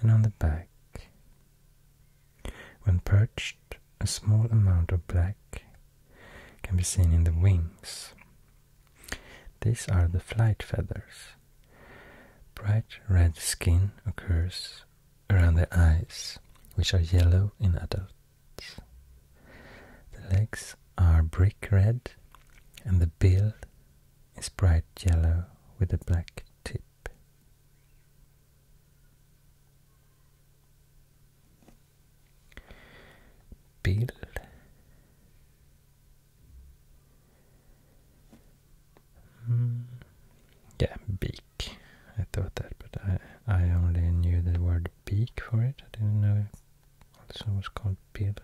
S1: and on the back. When perched, a small amount of black can be seen in the wings. These are the flight feathers. Bright red skin occurs around the eyes, which are yellow in adults. The legs are brick red and the bill is bright yellow with a black tip. Bill. Mm. Yeah, beak. I thought that, but I I only knew the word beak for it. I didn't know it also was called bill.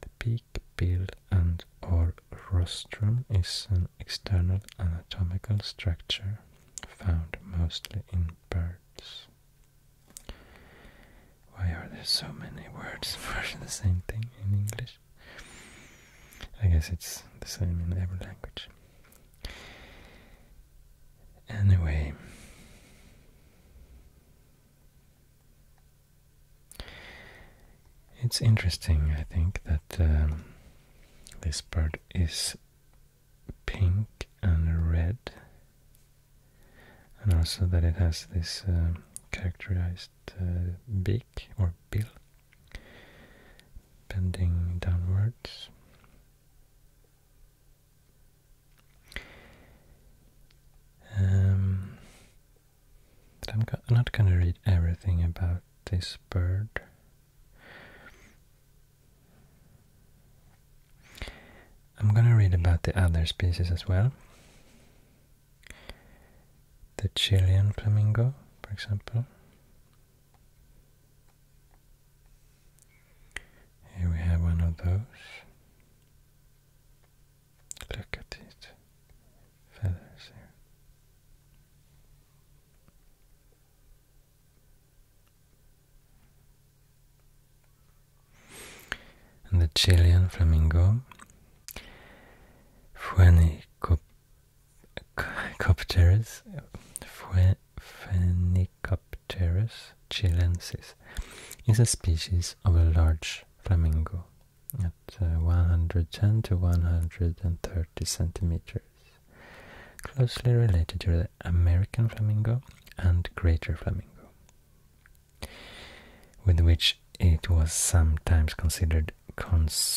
S1: The beak, bill, and or rostrum is an external anatomical structure found mostly in birds. Why are there so many words [laughs] for the same thing in English? I guess it's the same in every language. Anyway, it's interesting, I think, that um, this bird is pink and red, and also that it has this um, characterized uh, beak or bill bending downwards. Um, I'm not going to read everything about this bird. I'm going to read about the other species as well. The Chilean flamingo, for example. Here we have one of those. Look at it feathers And the Chilean flamingo, Phenicopterus, Phenicopterus chilensis, is a species of a large flamingo at uh, 110 to 130 centimeters, closely related to the American flamingo and greater flamingo, with which it was sometimes considered conspecific.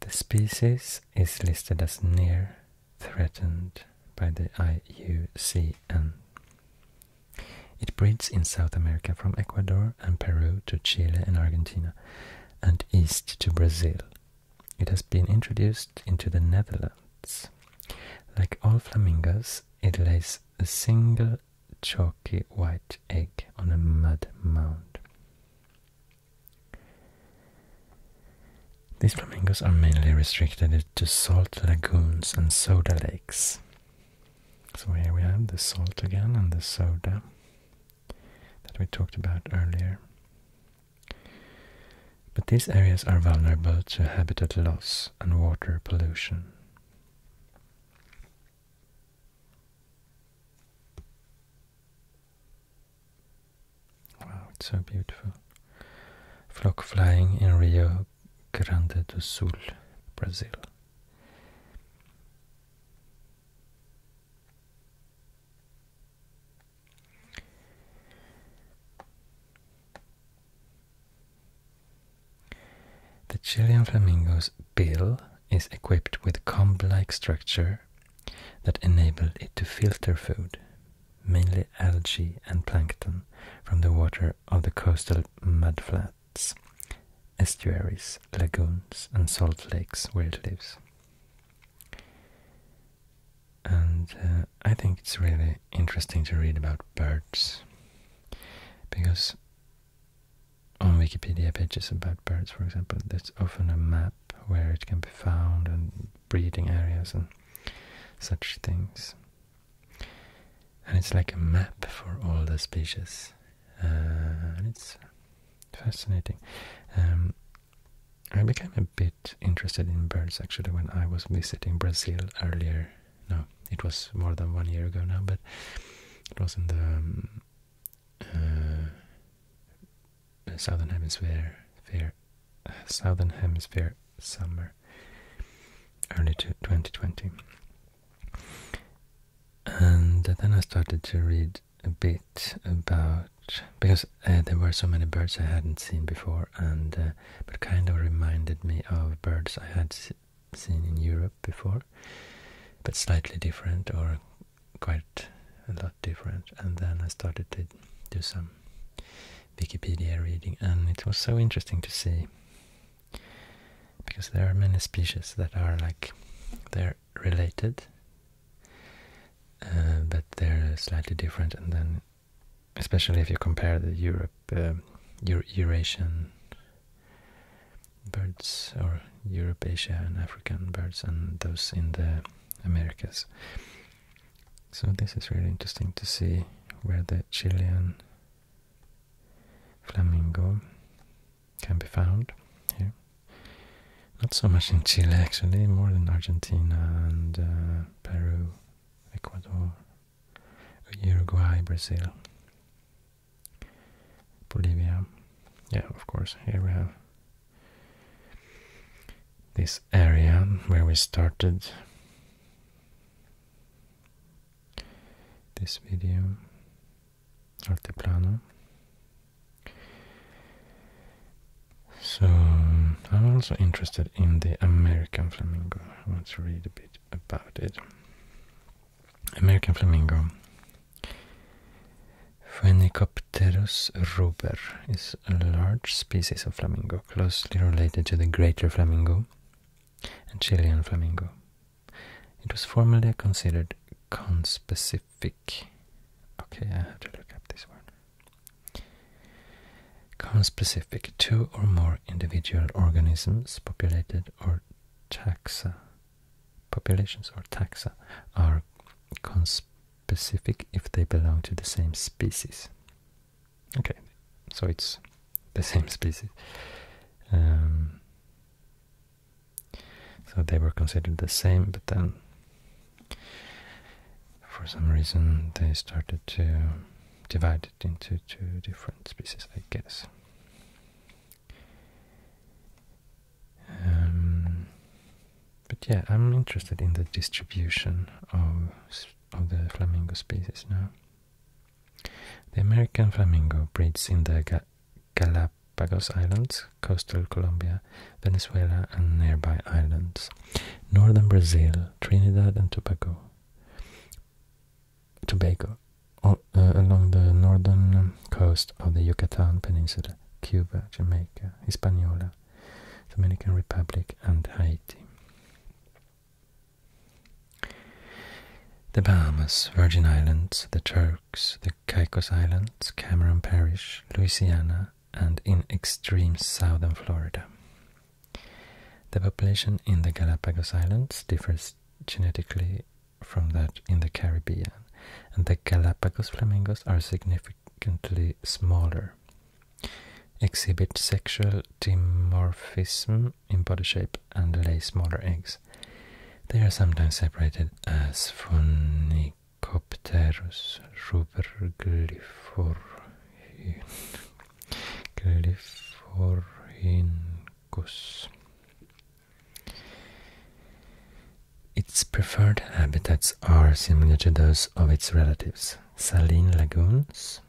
S1: The species is listed as near threatened by the IUCN. It breeds in South America from Ecuador and Peru to Chile and Argentina, and east to Brazil. It has been introduced into the Netherlands. Like all flamingos, it lays a single chalky white egg on a mud mound. These flamingos are mainly restricted to salt lagoons and soda lakes. So here we have the salt again and the soda that we talked about earlier. But these areas are vulnerable to habitat loss and water pollution. Wow, it's so beautiful. Flock flying in Rio Grande do Sul, Brazil. The Chilean flamingo's bill is equipped with comb-like structure that enabled it to filter food, mainly algae and plankton, from the water of the coastal mudflats, estuaries, lagoons, and salt lakes where it lives. And uh, I think it's really interesting to read about birds because on Wikipedia pages about birds, for example, there's often a map where it can be found and breeding areas and such things and it's like a map for all the species, uh, and it's fascinating. Um, I became a bit interested in birds actually when I was visiting Brazil earlier. No, it was more than one year ago now, but it was in the um, uh, southern hemisphere, fair, southern hemisphere summer, early to 2020. And then I started to read a bit about because uh, there were so many birds I hadn't seen before, and uh, but kind of reminded me of birds I had seen in Europe before, but slightly different or quite a lot different. And then I started to do some Wikipedia reading, and it was so interesting to see because there are many species that are like they're related uh, but they're slightly different and then especially if you compare the Europe um, Eurasian birds or Europe Asia and African birds and those in the Americas so this is really interesting to see where the Chilean flamingo can be found here. Not so much in Chile actually, more than Argentina and uh, Peru, Ecuador, Uruguay, Brazil, Bolivia. Yeah, of course, here we have this area where we started this video Altiplano so I'm also interested in the American flamingo I want to read a bit about it American flamingo Phenicopterus ruber is a large species of flamingo closely related to the greater flamingo and Chilean flamingo. It was formerly considered conspecific. Okay, I have to look up this word. Conspecific, two or more individual organisms, populated or taxa. Populations or taxa are conspecific if they belong to the same species. Okay, so it's the same species. Um, so they were considered the same, but then for some reason they started to divide it into two different species, I guess. Um, but yeah, I'm interested in the distribution of of the flamingo species now. The American flamingo breeds in the Galapagos Islands, coastal Colombia, Venezuela, and nearby islands, northern Brazil, Trinidad and Tobago, Tobago, uh, along the northern coast of the Yucatan Peninsula, Cuba, Jamaica, Hispaniola, Dominican Republic, and Haiti. The Bahamas, Virgin Islands, the Turks, the Caicos Islands, Cameron Parish, Louisiana, and in extreme southern Florida. The population in the Galapagos Islands differs genetically from that in the Caribbean, and the Galapagos flamingos are significantly smaller, exhibit sexual dimorphism in body shape and lay smaller eggs. They are sometimes separated as Phoenicopterus Phonicopterus rubberglyphorhynchus. Its preferred habitats are similar to those of its relatives, saline lagoons,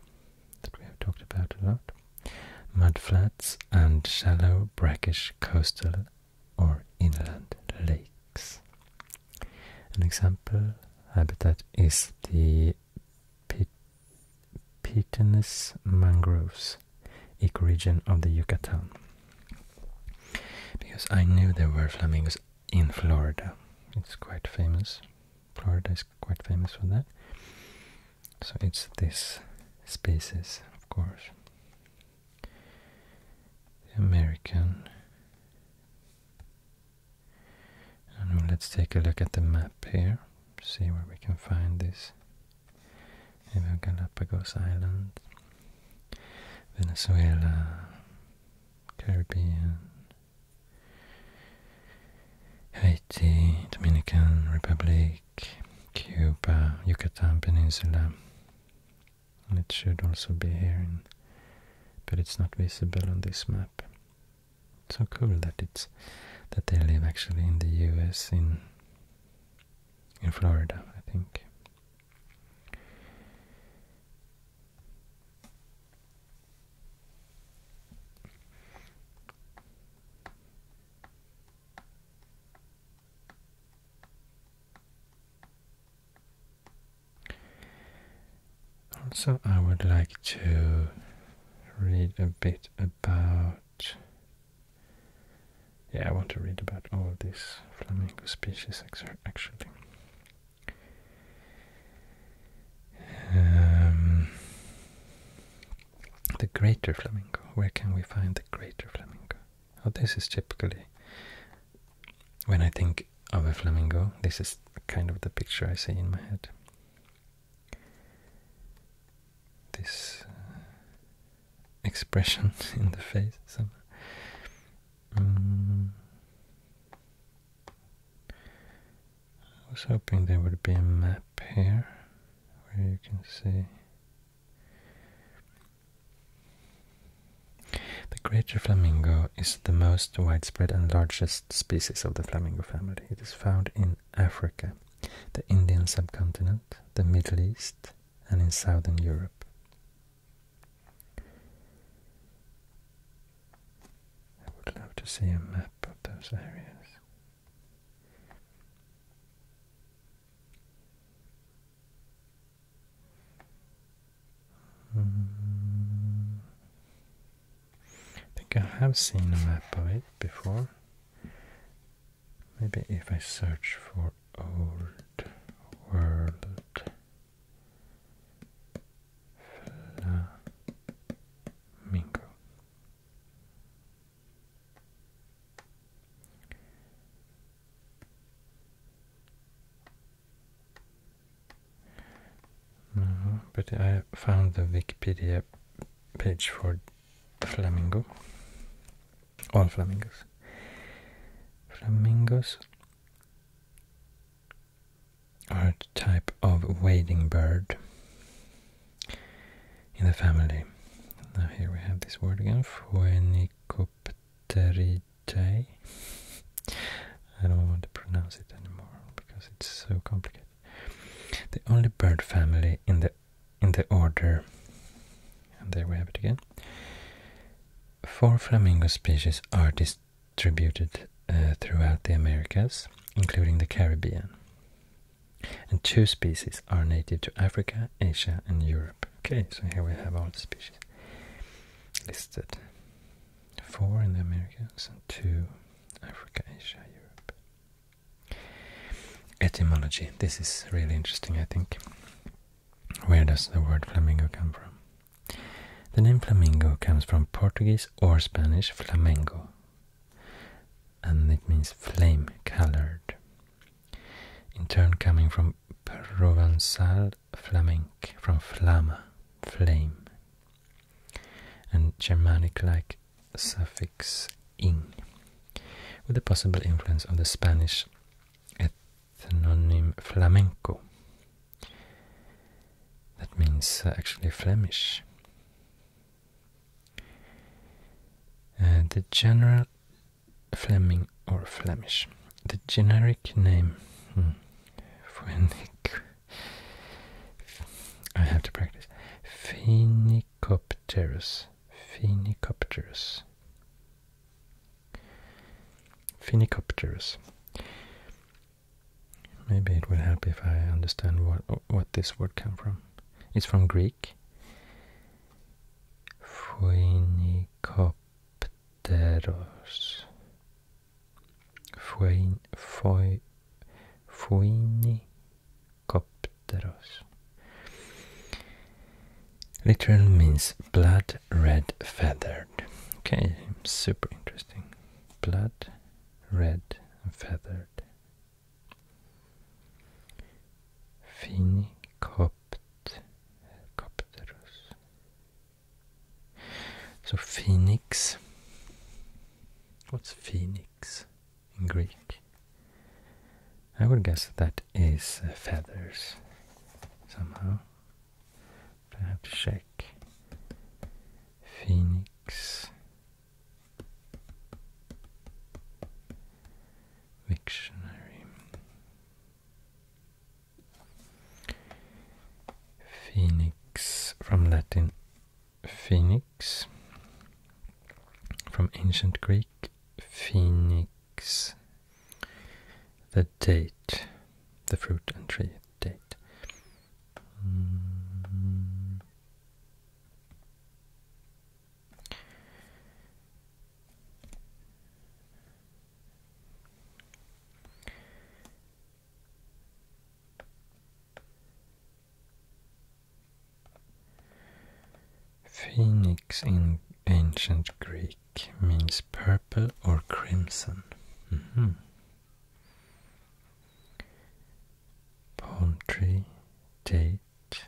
S1: that we have talked about a lot, mudflats, and shallow, brackish coastal or inland lakes. An example habitat is the Pit Pitanus mangroves ecoregion of the Yucatan. Because I knew there were flamingos in Florida. It's quite famous. Florida quite famous for that. So it's this species, of course. American. let's take a look at the map here, see where we can find this. Maybe Galapagos Island, Venezuela, Caribbean, Haiti, Dominican Republic, Cuba, Yucatan Peninsula. it should also be here, but it's not visible on this map. so cool that it's that they live actually in the U.S. in in Florida, I think. Also, I would like to read a bit about. Yeah, I want to read about all these flamingo species actually. Um, the greater flamingo. Where can we find the greater flamingo? Oh, this is typically when I think of a flamingo, this is kind of the picture I see in my head. This uh, expression [laughs] in the face. So, mm. I was hoping there would be a map map here where you can see the greater flamingo is the most widespread and largest species of the flamingo family. It is found in Africa, the Indian subcontinent, the Middle East, and in southern Europe. I would love to see a map of those areas. I think I have seen a map of it before. Maybe if I search for old world flamingo. Mm-hmm. but I found the Wikipedia page for flamingo. All flamingos. Flamingos are a type of wading bird in the family. Now here we have this word again, Phoenicopteridae. I don't want to pronounce it anymore because it's so complicated. The only bird family in the in the order, and there we have it again. Four flamingo species are distributed uh, throughout the Americas, including the Caribbean. And two species are native to Africa, Asia, and Europe. Okay, so here we have all the species listed. Four in the Americas and two Africa, Asia, Europe. Etymology. This is really interesting, I think. Where does the word flamingo come from? The name flamingo comes from Portuguese or Spanish flamengo, and it means flame colored in turn coming from Provençal flamenc, from flamma, flame, and Germanic-like suffix -ing, with the possible influence of the Spanish ethnonym flamenco. That means uh, actually Flemish. Uh, the general Fleming or Flemish. The generic name hmm, I have to practice. Phenicopterus. Phenicopterus. Phenicopterus. Maybe it will help if I understand what what this word came from. It's from Greek. Phoenicopteros. Phoen, phoi, phoenicopteros. Literal means blood red feathered. Okay, super interesting. Blood red feathered Phenicopterus. So phoenix. What's phoenix in Greek? I would guess that is uh, feathers somehow. I have to check. Phoenix Wiktionary Phoenix from Latin Phoenix from ancient Greek Phoenix the date the fruit and tree date mm-hmm. Phoenix in ancient Greek means purple or crimson. Mm date,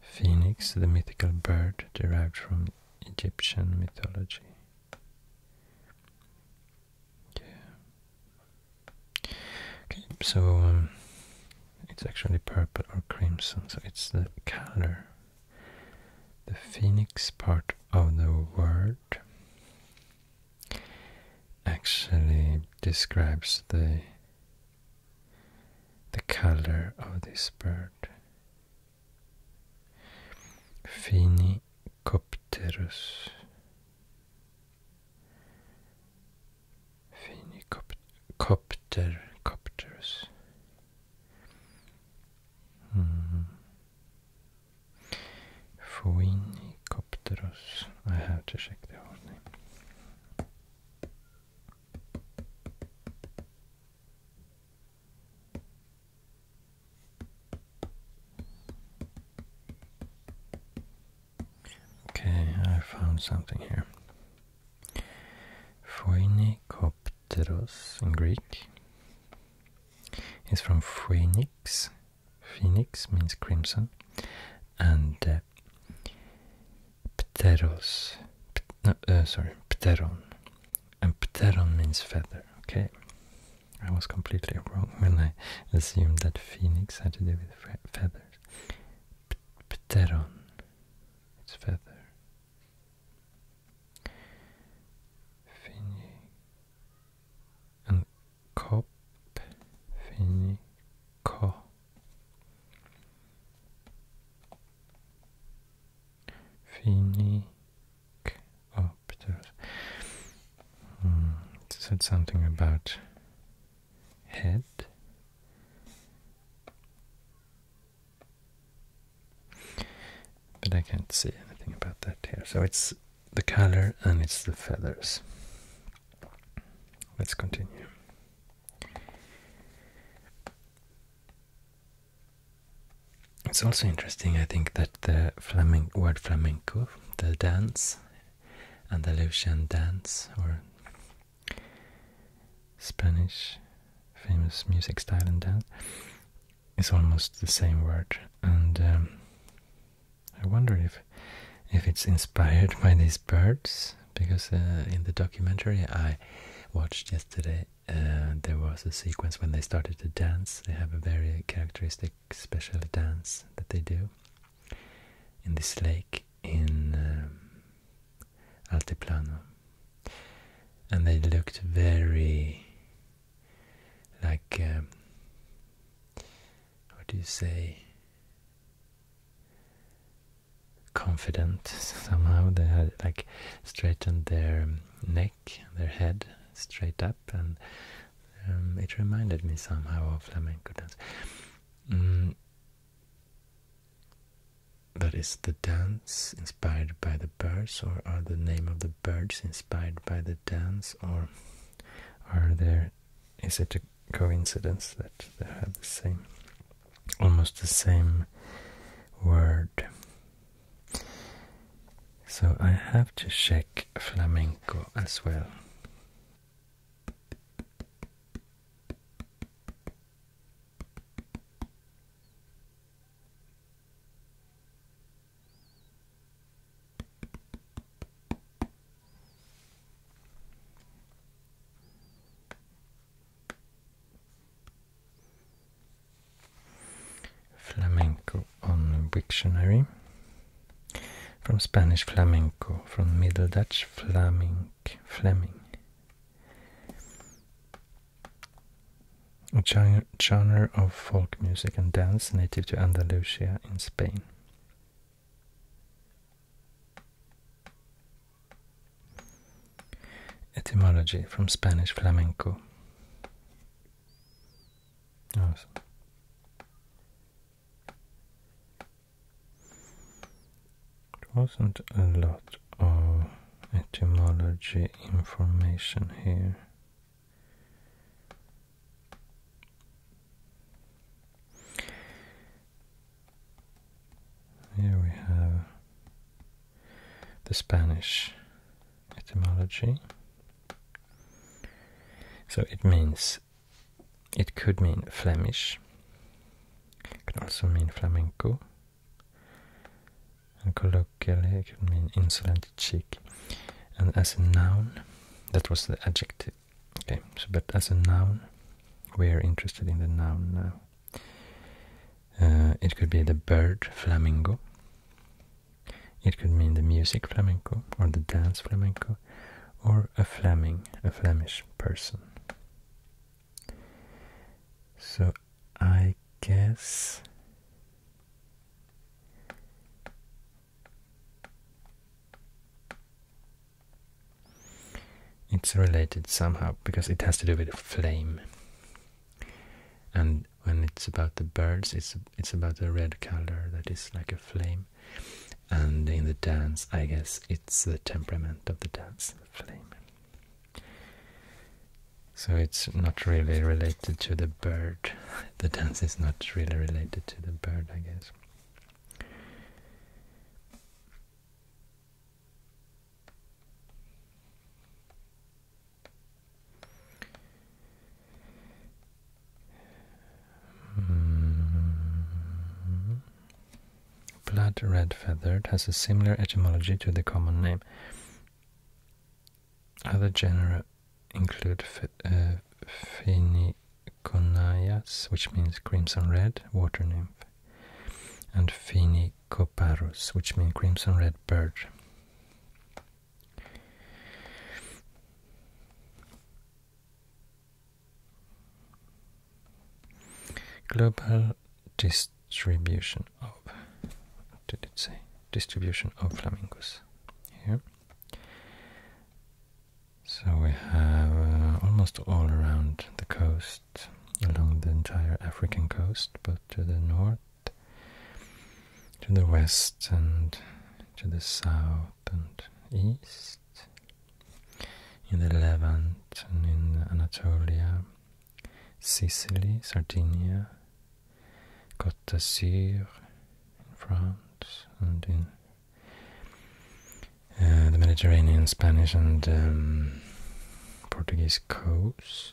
S1: Phoenix, the mythical bird derived from Egyptian mythology. Okay, so um, it's actually purple or crimson, so it's the color. The phoenix part of the word actually describes the the color of this bird. Phenicopterus. Phenicopter, Phoenicopterus. Hmm. I have to check the whole name. Okay, I found something here. Phoenikopteros in Greek is from Phoenix. Phoenix means crimson, and uh, uh, pteros, no, sorry, pteron, and pteron means feather. Okay, I was completely wrong when I assumed that phoenix had to do with feathers. pteron, it's feather. Finny and cop, finny, 커 Phoenix hmm, it said something about head but I can't see anything about that here so it's the color and it's the feathers let's continue it's also interesting, I think, that the word flamenco, the dance, Andalusian dance, or Spanish famous music style and dance, is almost the same word. And um, I wonder if if it's inspired [laughs] by these birds because uh, in the documentary I watched yesterday, uh, there was a sequence when they started to dance. They have a very characteristic special dance that they do in this lake in um, Altiplano, and they looked very like um, what do you say? confident somehow. They had like straightened their neck, their head straight up, and um, it reminded me somehow of flamenco dance. Mm. But is the dance inspired by the birds, or are the name of the birds inspired by the dance, or are there? Is it a coincidence that they have the same almost the same word. So I have to check flamenco as well. Flamenco on Wiktionary. From Spanish flamenco, from Middle Dutch flamink, fleming. A genre of folk music and dance native to Andalusia in Spain. Etymology from Spanish flamenco. Awesome. Oh, it wasn't a lot of etymology information here. Here we have the Spanish etymology. So it means, it could mean Flemish, it could also mean flamenco, and colloquially it mean insolent cheek. And as a noun, that was the adjective. Okay, so but as a noun, we are interested in the noun now. Uh, it could be the bird flamenco. It could mean the music flamenco or the dance flamenco or a Fleming, a Flemish person. So I guess it's related somehow because it has to do with flame. And when it's about the birds, it's it's about the red color that is like a flame. And in the dance, I guess it's the temperament of the dance, flame. So it's not really related to the bird. [laughs] The dance is not really related to the bird, I guess. Blood red feathered has a similar etymology to the common name. Other genera include uh, Phoeniconaias, which means crimson red water nymph, and Phoenicoparus, which means crimson red bird. Global distribution of what did it say? Distribution of flamingos here. So we have uh, almost all around the coast along the entire African coast, but to the north, to the west, and to the south and east, in the Levant and in Anatolia, Sicily, Sardinia, Côte in France, and in uh, the Mediterranean, Spanish, and um, Portuguese coasts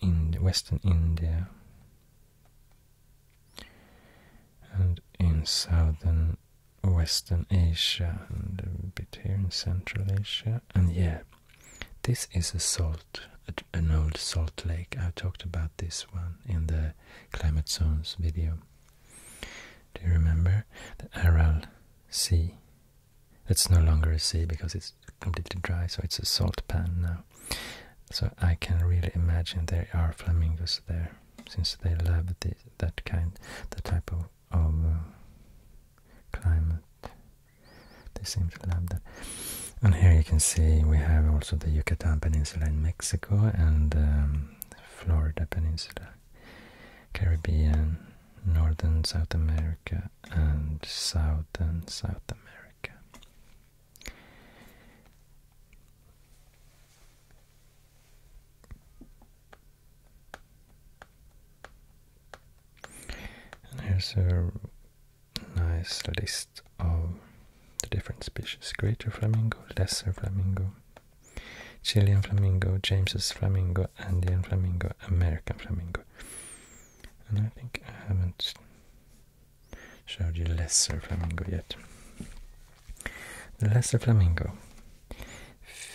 S1: in Western India and in Southern Western Asia and a bit here in Central Asia. And yeah, this is a salt, an old salt lake. I talked about this one in the climate zones video. Do you remember the Aral Sea it's no longer a sea because it's completely dry, so it's a salt pan now. So I can really imagine there are flamingos there, since they love that kind, the type of, of uh, climate. They seem to love that. And here you can see we have also the Yucatan Peninsula in Mexico and um, Florida Peninsula, Caribbean, Northern South America, and South and South America. And here's a nice list of the different species. Greater flamingo, lesser flamingo, Chilean flamingo, James's flamingo, Andean flamingo, American flamingo. And I think I haven't showed you lesser flamingo yet. The lesser flamingo,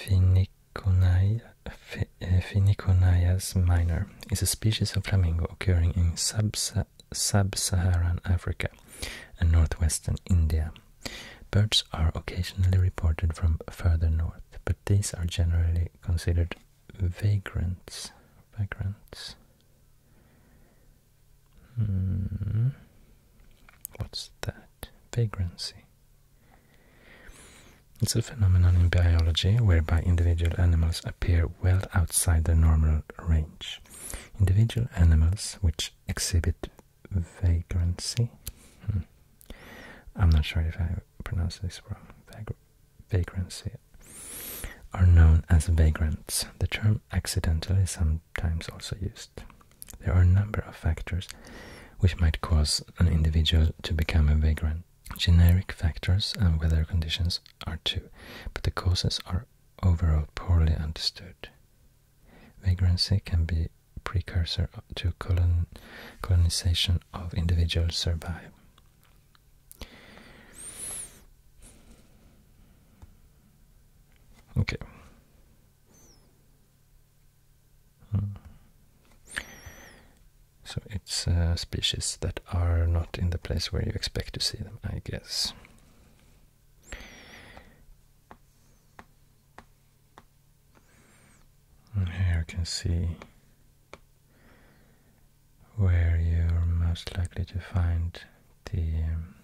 S1: Phoeniconia, eh, minor, is a species of flamingo occurring in sub-Saharan Africa and northwestern India. Birds are occasionally reported from further north, but these are generally considered vagrants, vagrants. Hmm. What's that? Vagrancy. It's a phenomenon in biology whereby individual animals appear well outside their normal range. Individual animals which exhibit vagrancy. Hmm. I'm not sure if I pronounced this wrong vagrancy are known as vagrants. The term accidental is sometimes also used. There are a number of factors which might cause an individual to become a vagrant. Generic factors and weather conditions are two, but the causes are overall poorly understood. Vagrancy can be precursor to colonization of individuals survive. Okay. Hmm. So it's uh, species that are not in the place where you expect to see them, I guess. here you can see where you're most likely to find the um,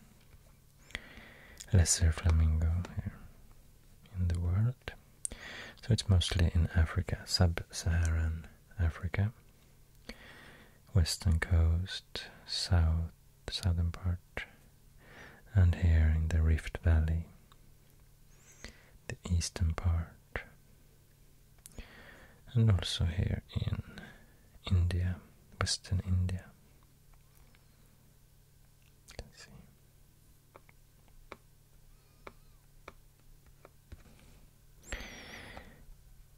S1: lesser flamingo here in the world. So it's mostly in Africa, sub-Saharan Africa, western coast, south, southern part, and here in the Rift Valley, the eastern part and also here in India, Western India.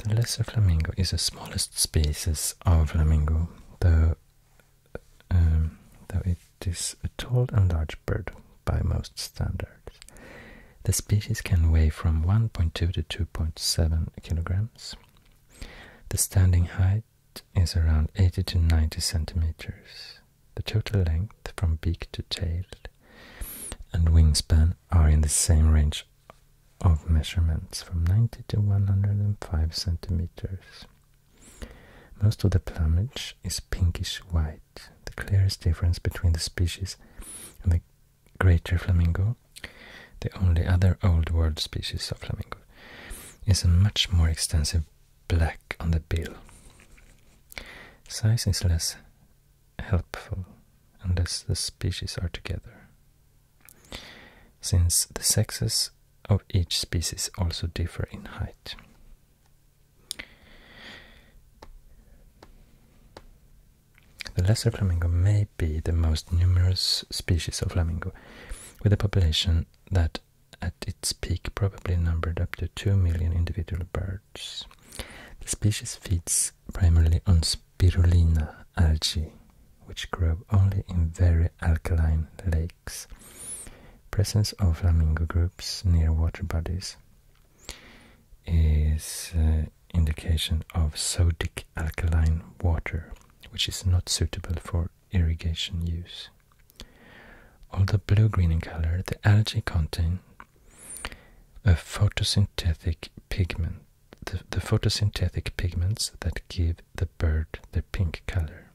S1: The lesser flamingo is the smallest species of flamingo, though, um, though it is a tall and large bird by most standards. The species can weigh from 1.2 to 2.7 kilograms. The standing height is around 80 to 90 centimeters. The total length from beak to tail and wingspan are in the same range of measurements from 90 to 105 centimeters. Most of the plumage is pinkish white, the clearest difference between the species and the greater flamingo, the only other Old World species of flamingo, is a much more extensive black on the bill. Size is less helpful unless the species are together, since the sexes of each species also differ in height. The lesser flamingo may be the most numerous species of flamingo, with a population that at its peak probably numbered up to 2 million individual birds. The species feeds primarily on spirulina algae, which grow only in very alkaline lakes. Presence of flamingo groups near water bodies is uh, indication of sodic alkaline water, which is not suitable for irrigation use. Although blue-green in color, the algae contain a photosynthetic pigment, the, the photosynthetic pigments that give the bird the pink color.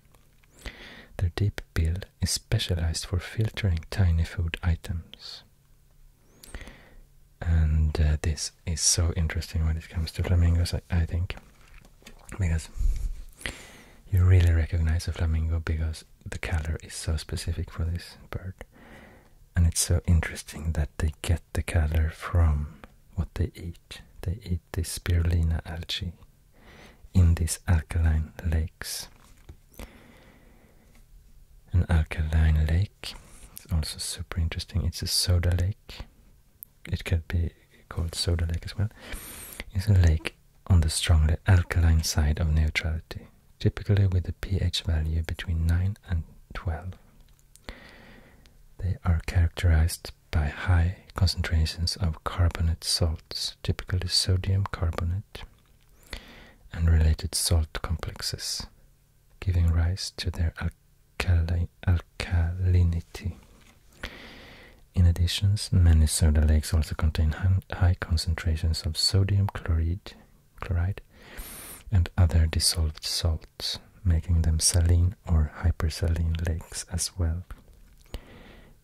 S1: Their deep bill is specialized for filtering tiny food items. And uh, this is so interesting when it comes to flamingos, I think, because you really recognize a flamingo because the color is so specific for this bird. And it's so interesting that they get the color from what they eat. They eat this spirulina algae in these alkaline lakes. An alkaline lake. It's also super interesting. It's a soda lake. It could be called soda lake as well. It's a lake on the strongly alkaline side of neutrality, typically with a pH value between 9 and 12. They are characterized by high concentrations of carbonate salts, typically sodium carbonate, and related salt complexes, giving rise to their alkalinity. In addition, many soda lakes also contain high concentrations of sodium chloride, chloride and other dissolved salts, making them saline or hypersaline lakes as well.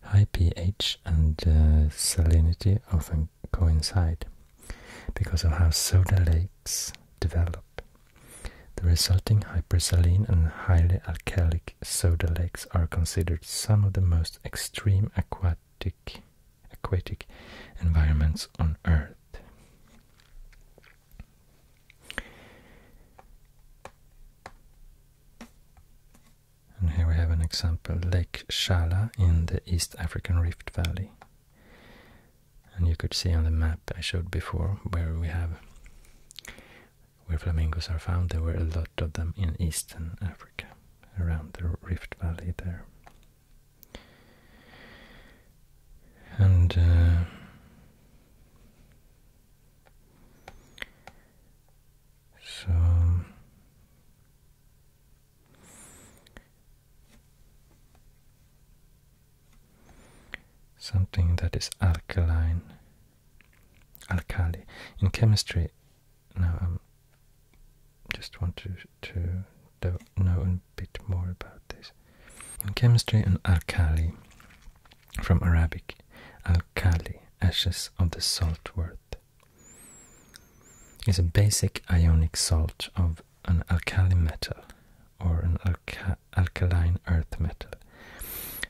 S1: High pH and uh, salinity often coincide because of how soda lakes develop. The resulting hyper saline and highly alkalic soda lakes are considered some of the most extreme aquatic aquatic environments on Earth. And here we have an example, Lake Shala in the East African Rift Valley. And you could see on the map I showed before where we have where flamingos are found. There were a lot of them in eastern Africa, around the Rift Valley there. And uh, so Something that is alkaline, alkali. In chemistry, now I um, just want to, to know a bit more about this. In chemistry, an alkali, from Arabic, alkali, ashes of the saltwort is a basic ionic salt of an alkali metal or an alkaline earth metal.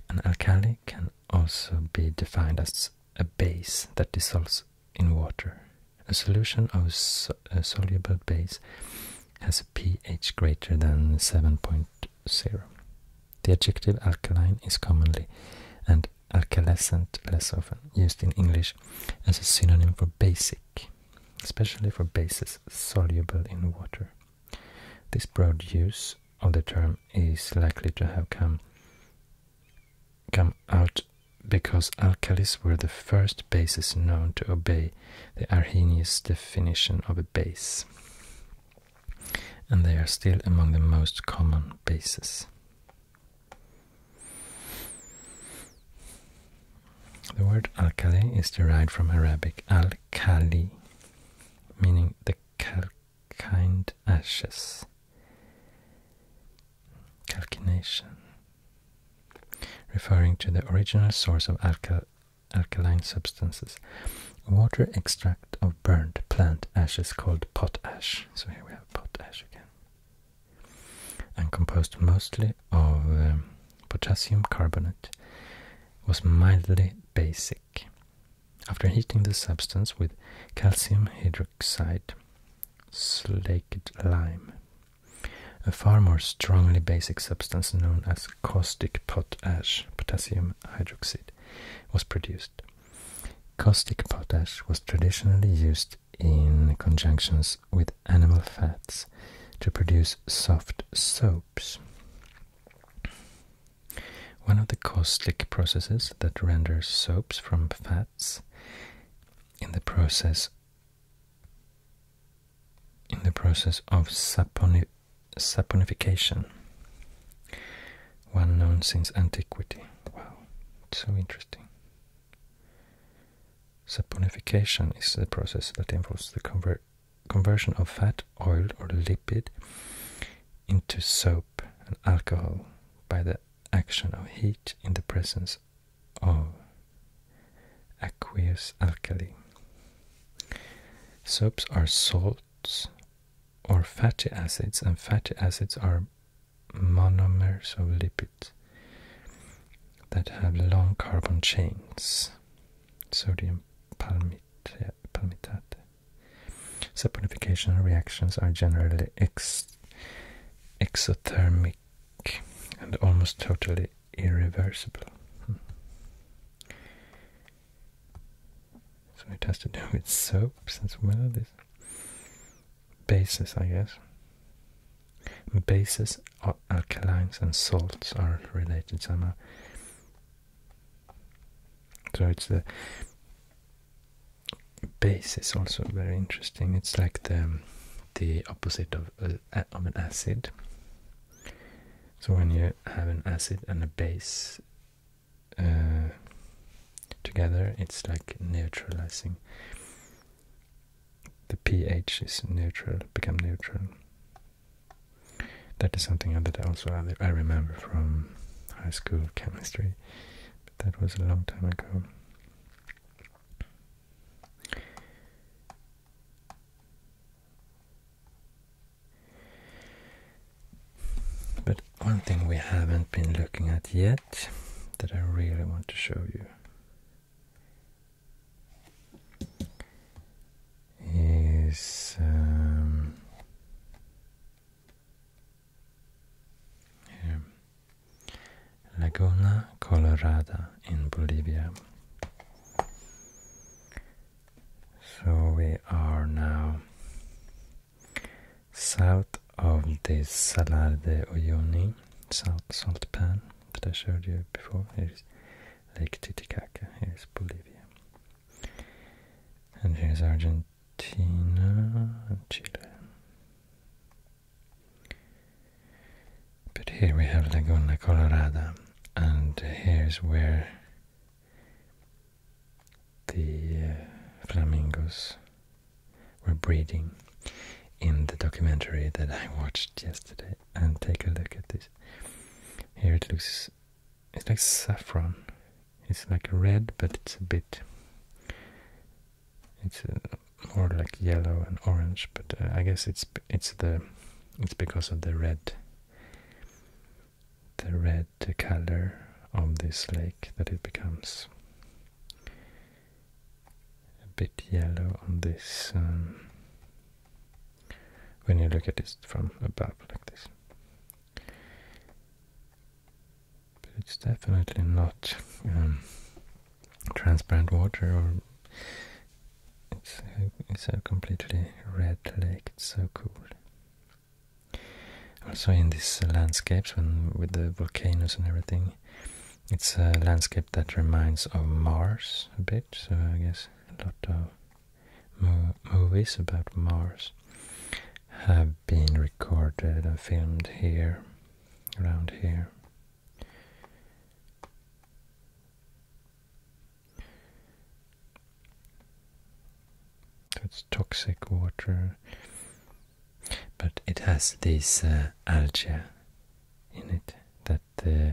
S1: An alkali can also be defined as a base that dissolves in water. A solution of a soluble base has a pH greater than 7.0. The adjective alkaline is commonly and alkalescent less often used in English as a synonym for basic, especially for bases soluble in water. This broad use of the term is likely to have come come out because alkalis were the first bases known to obey the Arrhenius definition of a base, and they are still among the most common bases. The word alkali is derived from Arabic al-kali, meaning the calcined ashes, calcination, referring to the original source of alkaline substances. Water extract of burned plant ashes called potash. So here we have potash again and composed mostly of um, potassium carbonate, was mildly basic. After heating the substance with calcium hydroxide, slaked lime, a far more strongly basic substance known as caustic potash, potassium hydroxide, was produced. Caustic potash was traditionally used in conjunctions with animal fats to produce soft soaps. One of the caustic processes that renders soaps from fats in the process in the process of saponification one known since antiquity. Wow, so interesting saponification is the process that involves the conversion of fat, oil, or lipid into soap and alcohol by the action of heat in the presence of aqueous alkali. Soaps are salts or fatty acids, and fatty acids are monomers of lipid that have long carbon chains, sodium palmitate. palmitate. Saponification reactions are generally exothermic and almost totally irreversible. Hmm. So it has to do with soaps as well bases, I guess. Bases, alkalines, and salts are related somehow. So it's the base is also very interesting. It's like the um, the opposite of uh, of an acid. So when you have an acid and a base uh, together, it's like neutralizing the pH is neutral, become neutral. That is something that I also I remember from high school chemistry, but that was a long time ago. But one thing we haven't been looking at yet that I really want to show you is um, Laguna Colorada in Bolivia. So we are now south of the Salar de Uyuni, South Salt Pan that I showed you before. Here's Lake Titicaca, here's Bolivia. And here's Argentina and Chile. But here we have Laguna Colorada, and here's where the uh, flamingos we're breeding in the documentary that I watched yesterday. And take a look at this. Here it looks, it's like saffron. It's like red, but it's a bit, it's uh, more like yellow and orange. But uh, I guess it's it's the it's because of the red, the red color of this lake that it becomes a bit yellow on this um, when you look at it from above like this. But it's definitely not um, transparent water or it's a, it's a completely red lake. It's so cool. Also in these landscapes when with the volcanoes and everything, it's a landscape that reminds of Mars a bit, so I guess a lot of movies about Mars have been recorded and filmed here, around here. It's toxic water, but it has this uh, algae in it that uh,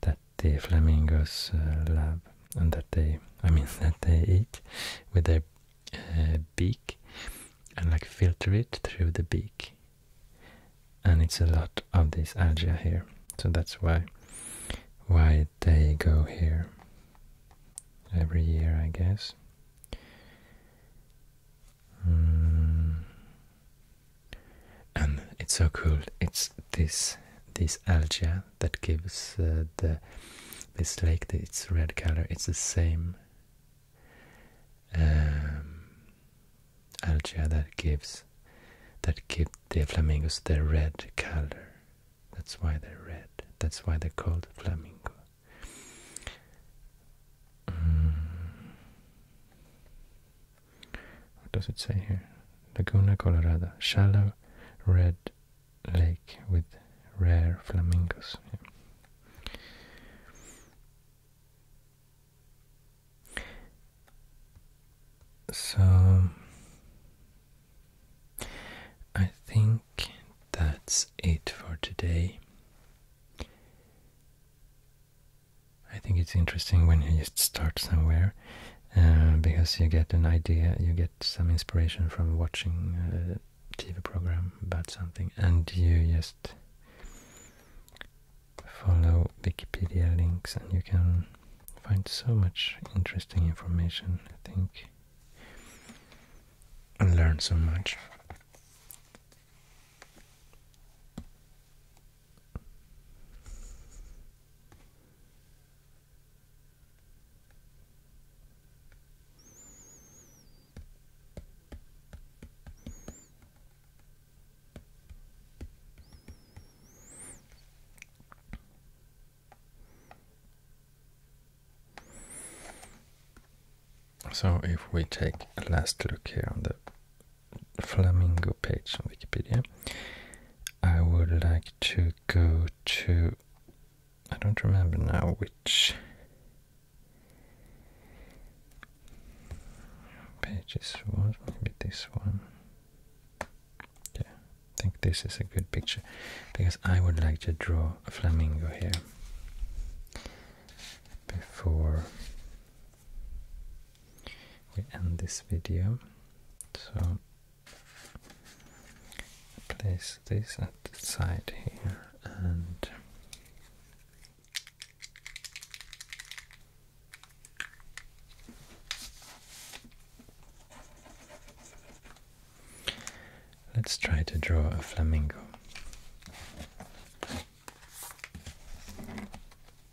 S1: that the flamingos uh, love and that they, I mean, [laughs] that they eat with their uh, beak and like filter it through the beak. And it's a lot of this algae here, so that's why why they go here every year, I guess. Hmm. And it's so cool. It's this this algae that gives uh, the this lake its red color. It's the same um, algae that gives that give the flamingos their red color. That's why they're red. That's why they're called flamingo. Hmm. What does it say here? Laguna Colorada, shallow red lake with rare flamingos. So I think that's it for today. I think it's interesting when you just start somewhere uh, because you get an idea, you get some inspiration from watching a TV program about something, and you just follow Wikipedia links, and you can find so much interesting information, I think, and learn so much. So if we take a last look here on the flamingo page on Wikipedia, I would like to go to. I don't remember now which page is what. Maybe this one. Yeah, I think this is a good picture because I would like to draw a flamingo here before we end this video. So place this at the side here and Let's try to draw a flamingo.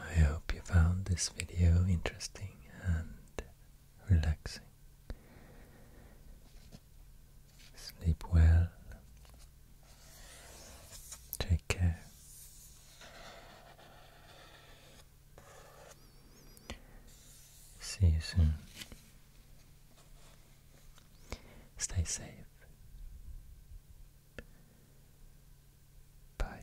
S1: I hope you found this video interesting and relaxing. Sleep well. Take care. See you soon. Stay safe. Bye.